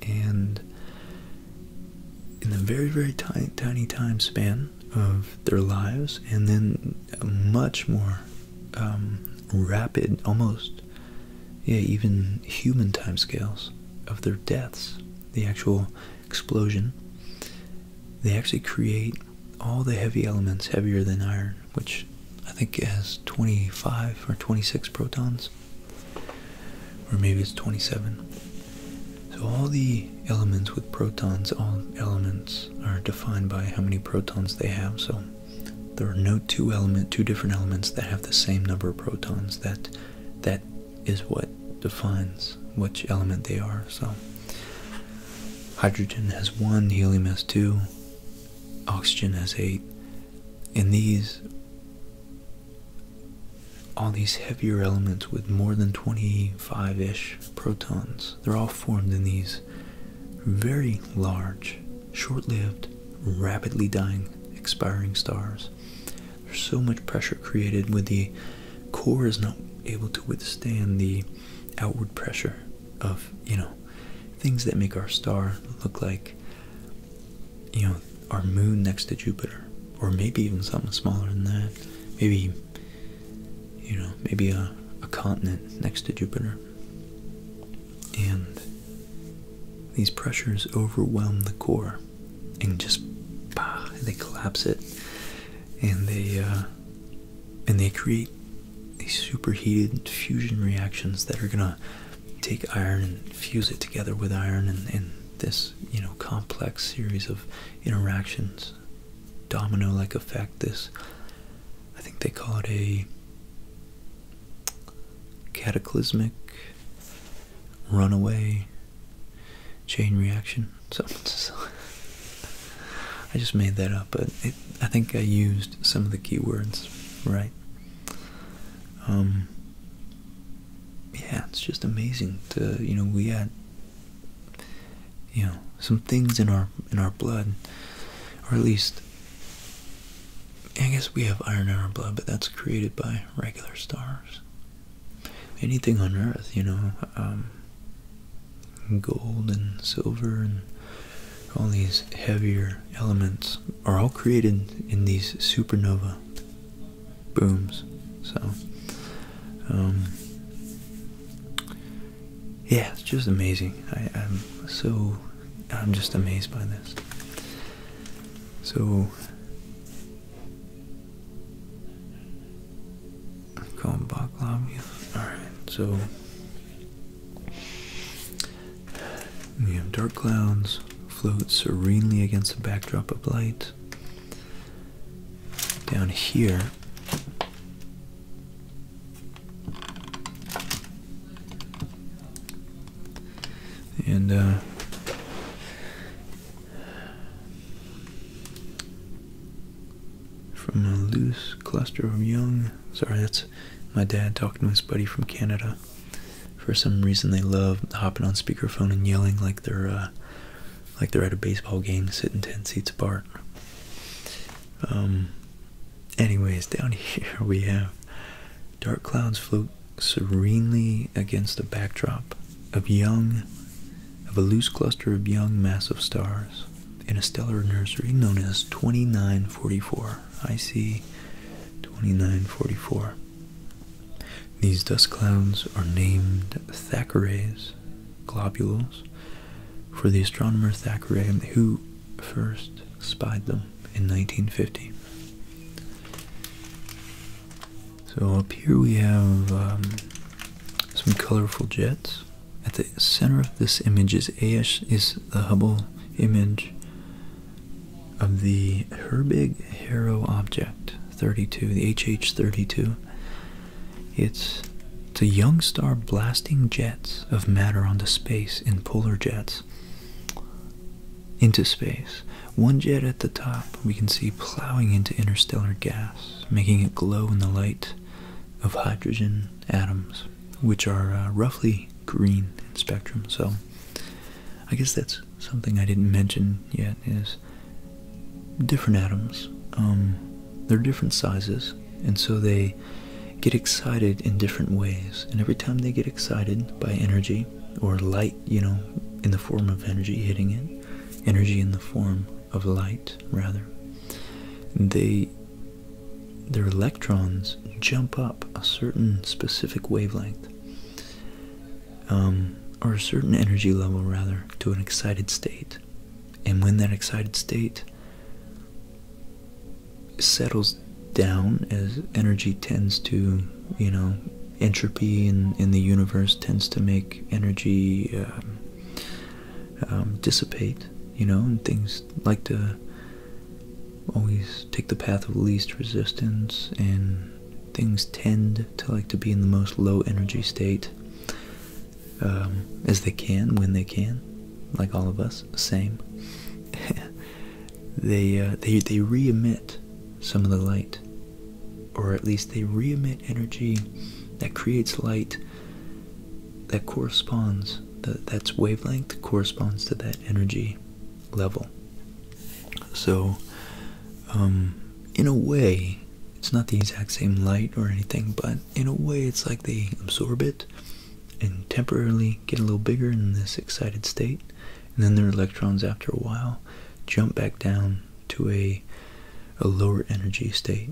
and in a very very tiny tiny time span of their lives and then much more um, rapid almost yeah even human time scales of their deaths the actual explosion they actually create all the heavy elements heavier than iron which i think has 25 or 26 protons or maybe it's 27. So all the elements with protons, all elements are defined by how many protons they have. So there are no two element, two different elements that have the same number of protons. That that is what defines which element they are. So hydrogen has one, helium has two, oxygen has eight. And these all these heavier elements with more than 25 ish protons, they're all formed in these very large, short lived, rapidly dying, expiring stars. There's so much pressure created with the core is not able to withstand the outward pressure of, you know, things that make our star look like you know, our moon next to Jupiter, or maybe even something smaller than that. Maybe, you know, maybe a, a continent next to Jupiter. And these pressures overwhelm the core and just bah, they collapse it and they uh, and they create these superheated fusion reactions that are gonna take iron and fuse it together with iron and, this you know complex series of interactions domino like effect this i think they call it a cataclysmic runaway chain reaction so, i just made that up but i think i used some of the key words right um, yeah, it's just amazing to you know we had you know some things in our in our blood, or at least I guess we have iron in our blood, but that's created by regular stars. Anything on Earth, you know, um, gold and silver and all these heavier elements are all created in these supernova booms. So, um, yeah, it's just amazing. I, am so, I'm just amazed by this. So, I'm calling baklava. All right, so we have dark clouds float serenely against a backdrop of light. Down here, and uh, from a loose cluster of young. Sorry, that's my dad talking to his buddy from Canada. For some reason, they love hopping on speakerphone and yelling like they're uh, like they're at a baseball game, sitting ten seats apart. Um. Anyways, down here we have dark clouds float serenely against the backdrop of young, of a loose cluster of young massive stars in a stellar nursery known as 2944. I see 2944. These dust clouds are named Thackeray's globules for the astronomer Thackeray, who first spied them in 1950. So up here we have um, some colorful jets. At the center of this image is AS is the Hubble image of the Herbig Haro object 32, the HH32. It's it's a young star blasting jets of matter onto space in polar jets into space. One jet at the top we can see plowing into interstellar gas, making it glow in the light of hydrogen atoms, which are uh, roughly green in spectrum. So I guess that's something I didn't mention yet is different atoms. Um, they're different sizes, and so they get excited in different ways. And every time they get excited by energy or light, you know, in the form of energy hitting it, energy in the form of light, rather, they their electrons jump up a certain specific wavelength um, or a certain energy level rather, to an excited state. And when that excited state settles down, as energy tends to, you know, entropy in, in the universe tends to make energy um, um, dissipate, you know, and things like to always take the path of least resistance and things tend to like to be in the most low energy state um, as they can when they can like all of us same they uh, they they re-emit some of the light or at least they re-emit energy that creates light that corresponds that that's wavelength corresponds to that energy level. So, um, in a way, it's not the exact same light or anything, but in a way, it's like they absorb it and temporarily get a little bigger in this excited state, and then their electrons, after a while, jump back down to a, a lower energy state.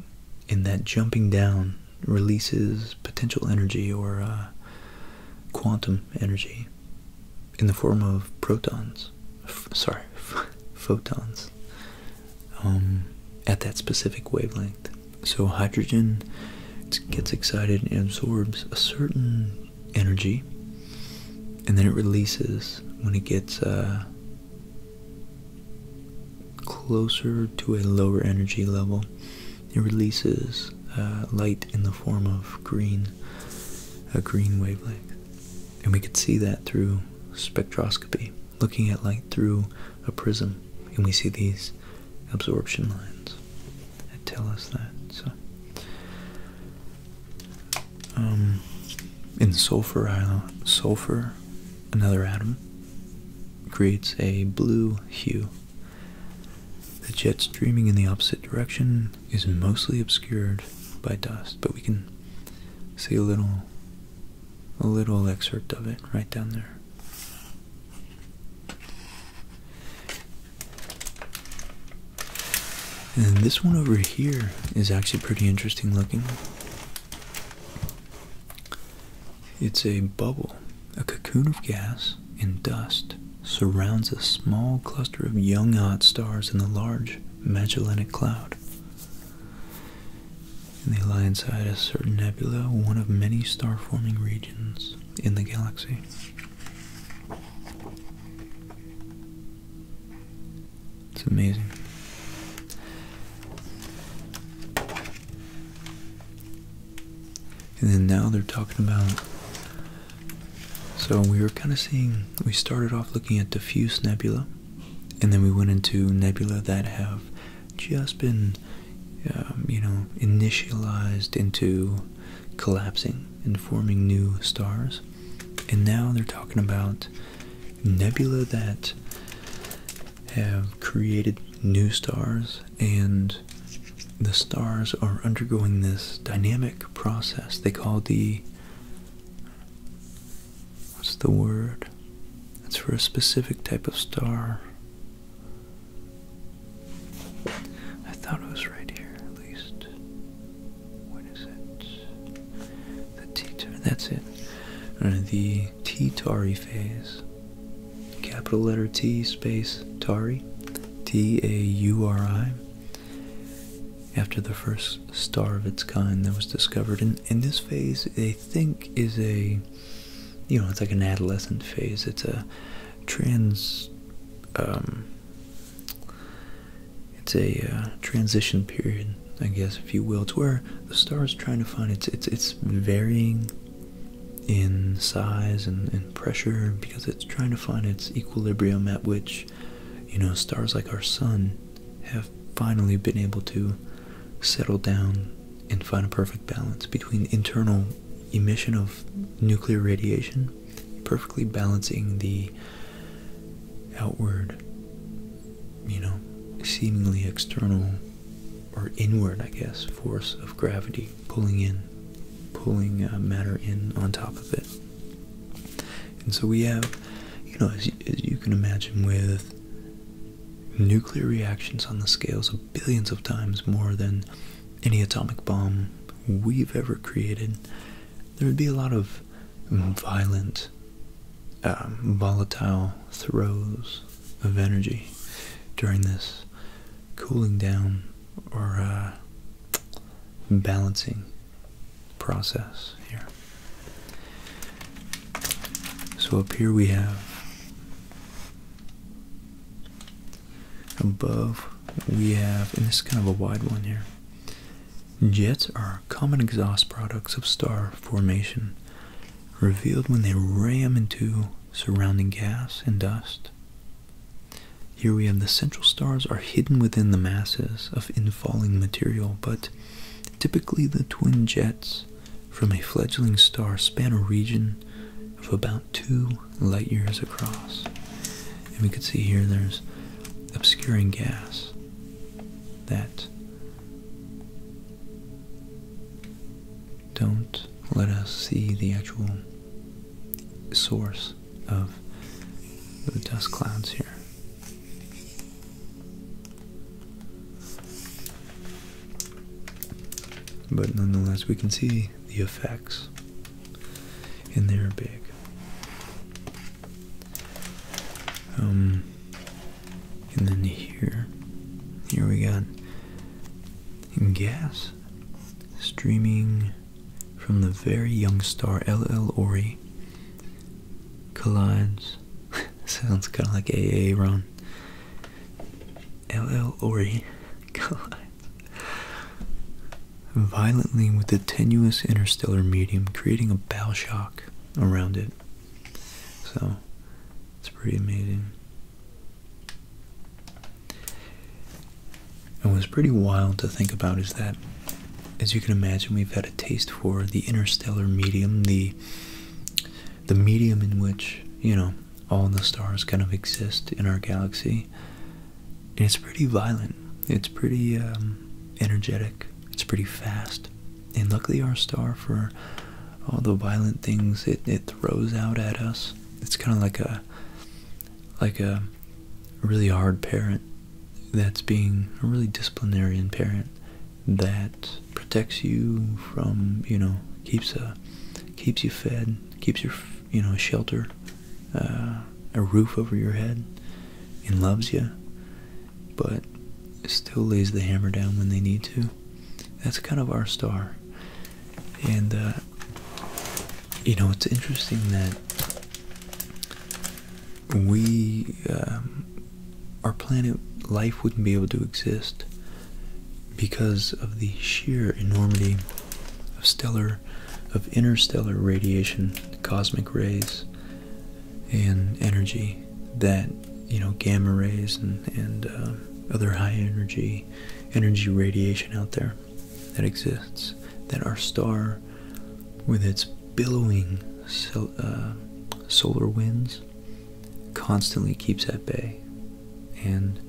And that jumping down releases potential energy or uh, quantum energy in the form of protons, sorry, photons, um, at that specific wavelength. So hydrogen gets excited and absorbs a certain energy, and then it releases when it gets uh, closer to a lower energy level. It releases uh, light in the form of green a green wavelength. And we could see that through spectroscopy, looking at light through a prism. And we see these absorption lines that tell us that. So, um, in sulfur, sulfur, another atom creates a blue hue. The jet streaming in the opposite direction is mostly obscured by dust, but we can see a little a little excerpt of it right down there. And this one over here is actually pretty interesting looking. It's a bubble, a cocoon of gas and dust surrounds a small cluster of young hot stars in the large Magellanic Cloud. And they lie inside a certain nebula, one of many star forming regions in the galaxy. It's amazing. And then now they're talking about so we were kind of seeing, we started off looking at diffuse nebula, and then we went into nebula that have just been, um, you know, initialized into collapsing and forming new stars. And now they're talking about nebula that have created new stars and the stars are undergoing this dynamic process they call the What's the word? It's for a specific type of star. I thought it was right here, at least. What is it? The T that's it. Uh, the T Tari phase. Capital letter T space Tari. T A U R I after the first star of its kind that was discovered. And, and this phase, they think, is a, you know, it's like an adolescent phase. It's a trans, um, it's a uh, transition period, I guess, if you will. It's where the star is trying to find its, its, its varying in size and, and pressure because it's trying to find its equilibrium at which you know, stars like our sun have finally been able to settle down and find a perfect balance between internal emission of nuclear radiation, perfectly balancing the outward, you know, seemingly external or inward, I guess, force of gravity pulling in, pulling uh, matter in on top of it. And so we have, you know, as you, can imagine, with nuclear reactions on the scales of billions of times more than any atomic bomb we've ever created, there would be a lot of violent, um, volatile throws of energy during this cooling down or uh, balancing process here. So up here we have above we have, and this is kind of a wide one here. Jets are common exhaust products of star formation, revealed when they ram into surrounding gas and dust. Here we have the central stars are hidden within the masses of infalling material, but typically the twin jets from a fledgling star span a region of about two light years across. And we can see here there's obscuring gas that don't let us see the actual source of the dust clouds here. But nonetheless, we can see the effects, and they're big. Um, and then here, here we got gas streaming from the very young star LL Ori collides. Sounds kind of like AA Ron. LL Ori collides violently with the tenuous interstellar medium, creating a bow shock around it. So, it's pretty amazing. And what's pretty wild to think about is that, as you can imagine, we've had a taste for the interstellar medium, the the medium in which, you know, all the stars kind of exist in our galaxy. And it's pretty violent. It's pretty um, energetic. It's pretty fast. And luckily our star, for all the violent things it, it throws out at us, it's kind of like a, like a really hard parent that's being a really disciplinarian parent that protects you from you know keeps a uh, keeps you fed keeps your you know a shelter uh, a roof over your head and loves you but still lays the hammer down when they need to that's kind of our star and uh, you know it's interesting that we um, our planet life wouldn't be able to exist because of the sheer enormity of stellar of interstellar radiation cosmic rays and energy that you know gamma rays and, and uh, other high energy energy radiation out there that exists that our star with its billowing uh, solar winds constantly keeps at bay. And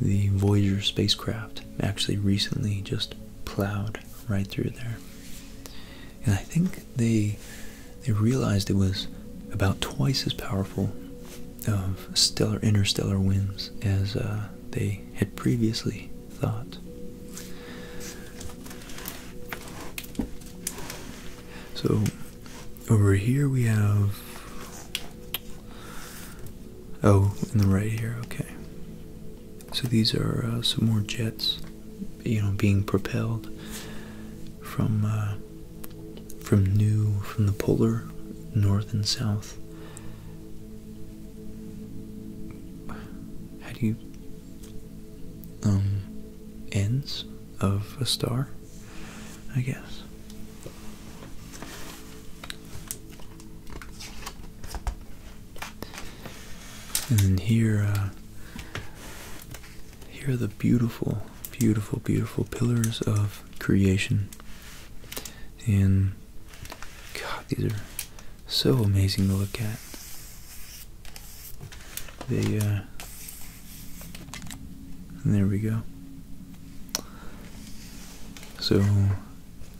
the Voyager spacecraft actually recently just plowed right through there. And I think they they realized it was about twice as powerful of stellar interstellar winds as uh, they had previously thought. So, over here we have. Oh, in the right here, okay. So these are uh, some more jets, you know, being propelled from uh, from new from the polar north and south how do you um ends of a star, I guess. And then here, uh, here are the beautiful, beautiful, beautiful pillars of creation. And God, these are so amazing to look at. Uh, there we go. So,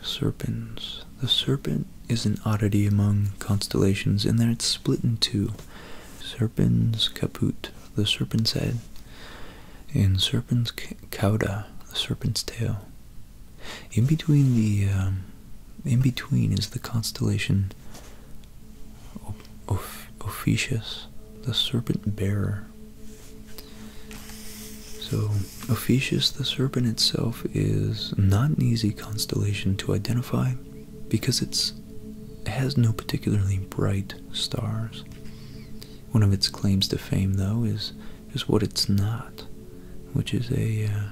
Serpens. The serpent is an oddity among constellations and then it's split in two. Serpens caput, the serpent's head, and serpens cauda, the serpent's tail. In between the um, in between is the constellation of Ophiuchus, the serpent bearer. So Ophiuchus, the serpent itself, is not an easy constellation to identify because it's it has no particularly bright stars. One of its claims to fame, though, is is what it's not, which is a uh,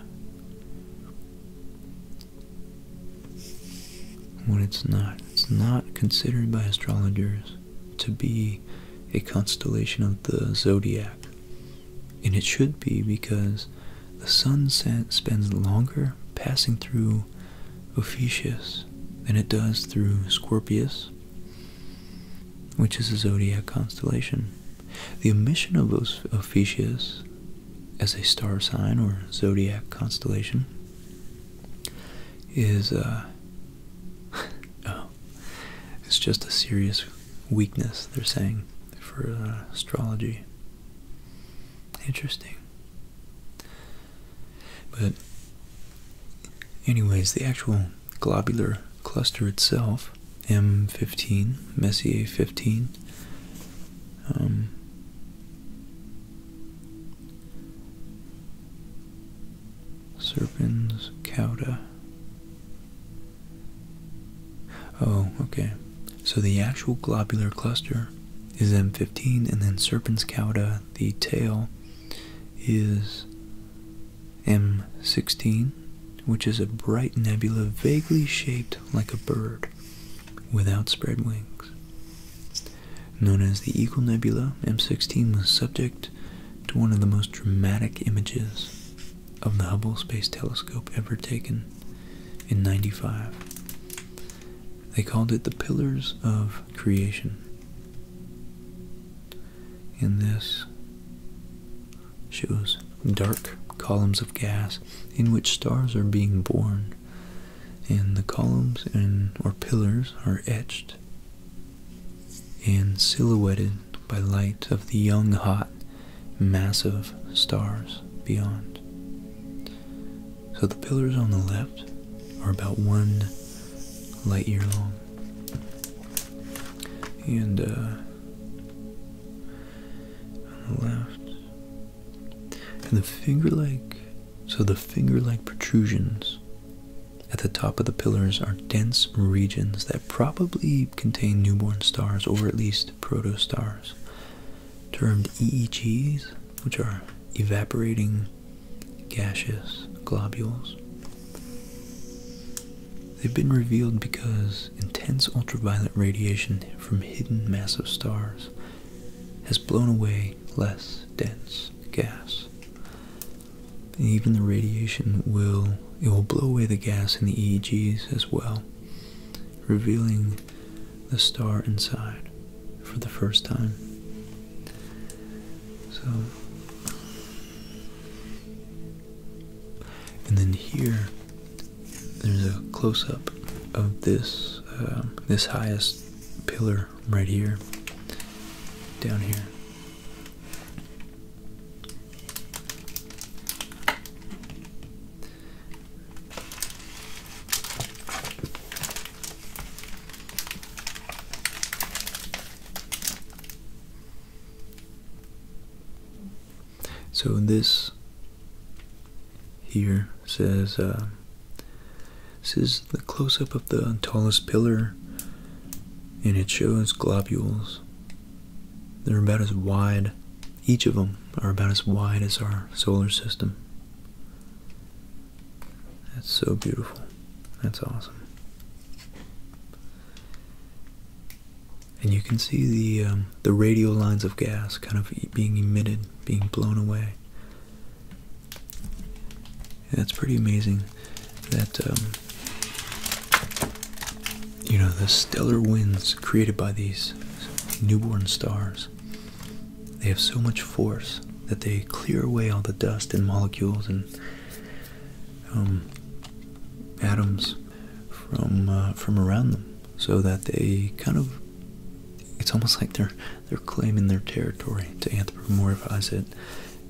what it's not. It's not considered by astrologers to be a constellation of the zodiac, and it should be because the sun spends longer passing through Ophiuchus than it does through Scorpius, which is a zodiac constellation. The omission of Ophiuchus as a star sign or zodiac constellation is uh, oh, it's just a serious weakness they're saying for uh, astrology. Interesting. But anyways, the actual globular cluster itself M15, Messier 15. Um, Serpens, Cauda. Oh, okay. So the actual globular cluster is M15, and then Serpens cauda, the tail, is M16 which is a bright nebula vaguely shaped like a bird with outspread wings. Known as the Eagle Nebula, M16 was subject to one of the most dramatic images of the Hubble Space Telescope ever taken in 95. They called it the Pillars of Creation. In this shows dark columns of gas in which stars are being born and the columns and or pillars are etched and silhouetted by light of the young hot massive stars beyond so the pillars on the left are about one light year long and uh, on the left. And the finger-like, so the finger-like protrusions at the top of the pillars are dense regions that probably contain newborn stars or at least protostars, termed EEGs, which are evaporating gaseous globules. They've been revealed because intense ultraviolet radiation from hidden massive stars has blown away less dense gas. even the radiation will it will blow away the gas in the EEGs as well, revealing the star inside for the first time. So and then here, there's a close-up of this um, this highest pillar right here, down here. So this here says uh, this is the close-up of the tallest pillar, and it shows globules. They're about as wide. Each of them are about as wide as our solar system. That's so beautiful. That's awesome and you can see the um, the radial lines of gas kind of being emitted, being blown away. That's pretty amazing that um, you know the stellar winds created by these newborn stars. They have so much force that they clear away all the dust and molecules and um, atoms from uh, from around them, so that they kind of it's almost like they're they're claiming their territory to anthropomorphize it,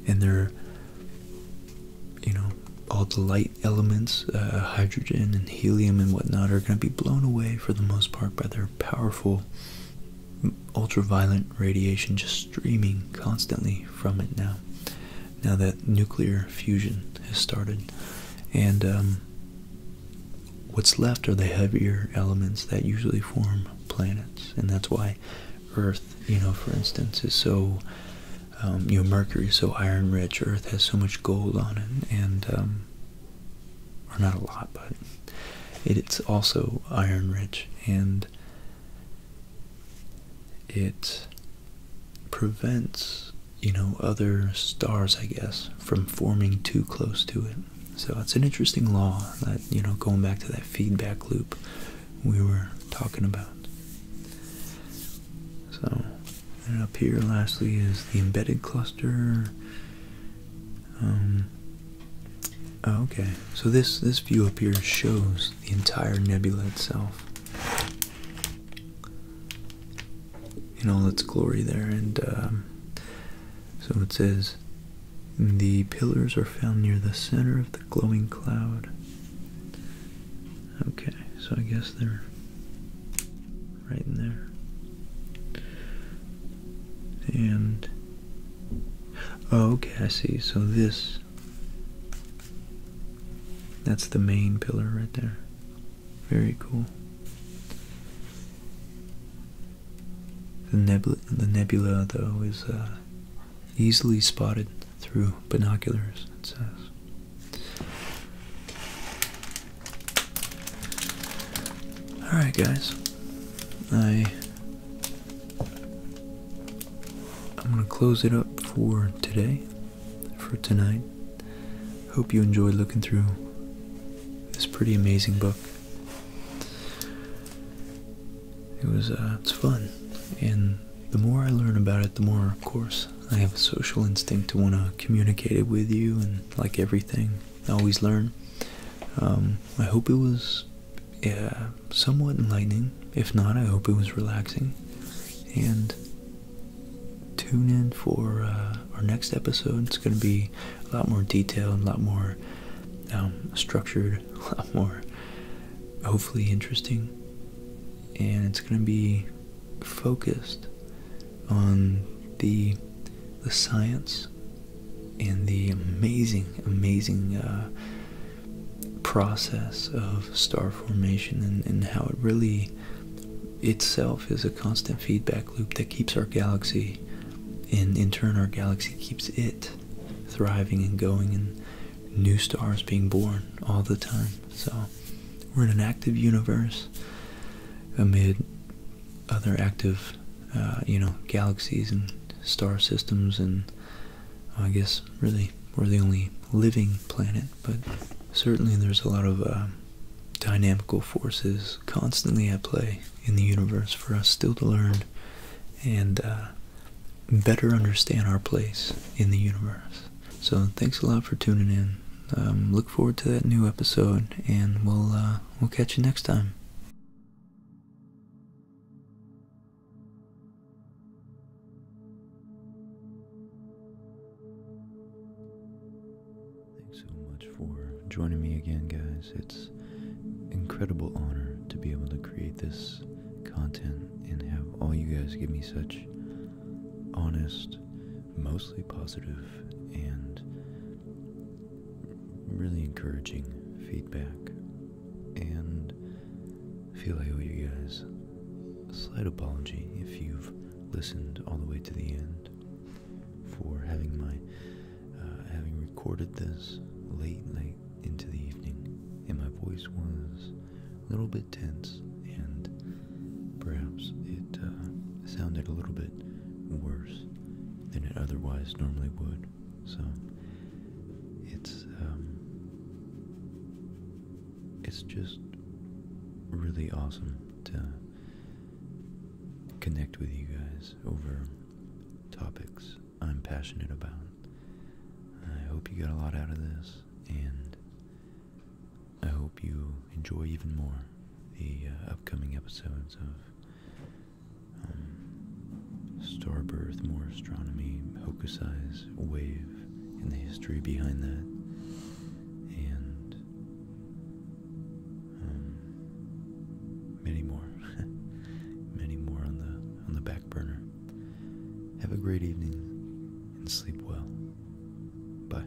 and they're you know all the light elements, uh, hydrogen and helium and whatnot, are going to be blown away for the most part by their powerful ultraviolet radiation just streaming constantly from it now. Now that nuclear fusion has started, and um, What's left are the heavier elements that usually form planets, and that's why Earth, you know, for instance, is so, um, you know, Mercury is so iron rich, Earth has so much gold on it, and, um, or not a lot, but it's also iron rich, and it prevents you know other stars i guess from forming too close to it so it's an interesting law that you know going back to that feedback loop we were talking about so and up here lastly is the embedded cluster um, oh, okay so this this view up here shows the entire nebula itself in all its glory there. And um, so it says, the pillars are found near the center of the glowing cloud. Okay, so I guess they're right in there. And, oh, Cassie, So this, that's the main pillar right there. Very cool. The nebula, the nebula though, is uh, easily spotted through binoculars, it says. Alright, guys. I. I'm gonna close it up for today for tonight. Hope you enjoyed looking through this pretty amazing book. It was uh, it's fun, and the more I learn about it, the more, of course, I have a social instinct to want to communicate it with you, and like everything, always learn. Um, I hope it was yeah, somewhat enlightening. If not, I hope it was relaxing, and tune in for uh, our next episode. It's going to be a lot more detailed, and a lot more um, structured, a lot more hopefully interesting. And it's going to be focused on the the science and the amazing, amazing uh, process of star formation and, and how it really itself is a constant feedback loop that keeps our galaxy, and in turn, our galaxy keeps it thriving and going, and new stars being born all the time. So, we're in an active universe amid other active, uh, you know, galaxies and star systems, and I guess really we're the only living planet, but certainly there's a lot of. Uh, dynamical forces constantly at play in the universe for us still to learn and uh, better understand our place in the universe. So thanks a lot for tuning in. Um, look forward to that new episode, and we'll uh, we'll catch you next time. Thanks so much for joining me again, guys. It's incredible honor to be able to create this content and have all you guys give me such honest, mostly positive, and really encouraging feedback. And feel I owe you guys a slight apology if you've listened all the way to the end for having my uh, having recorded this late night into the evening, and my voice was a little bit tense, and perhaps it uh, sounded a little bit worse than it otherwise normally would. So it's um, it's just really awesome to connect with you guys over topics I'm passionate about. I hope you got a lot out of this, and I hope you enjoy even more the uh, upcoming episodes of um, star birth, More Astronomy, Hokusai's Wave, and the history behind that. And um, many more, many more on the on the back burner. Have a great evening and sleep well. Bye.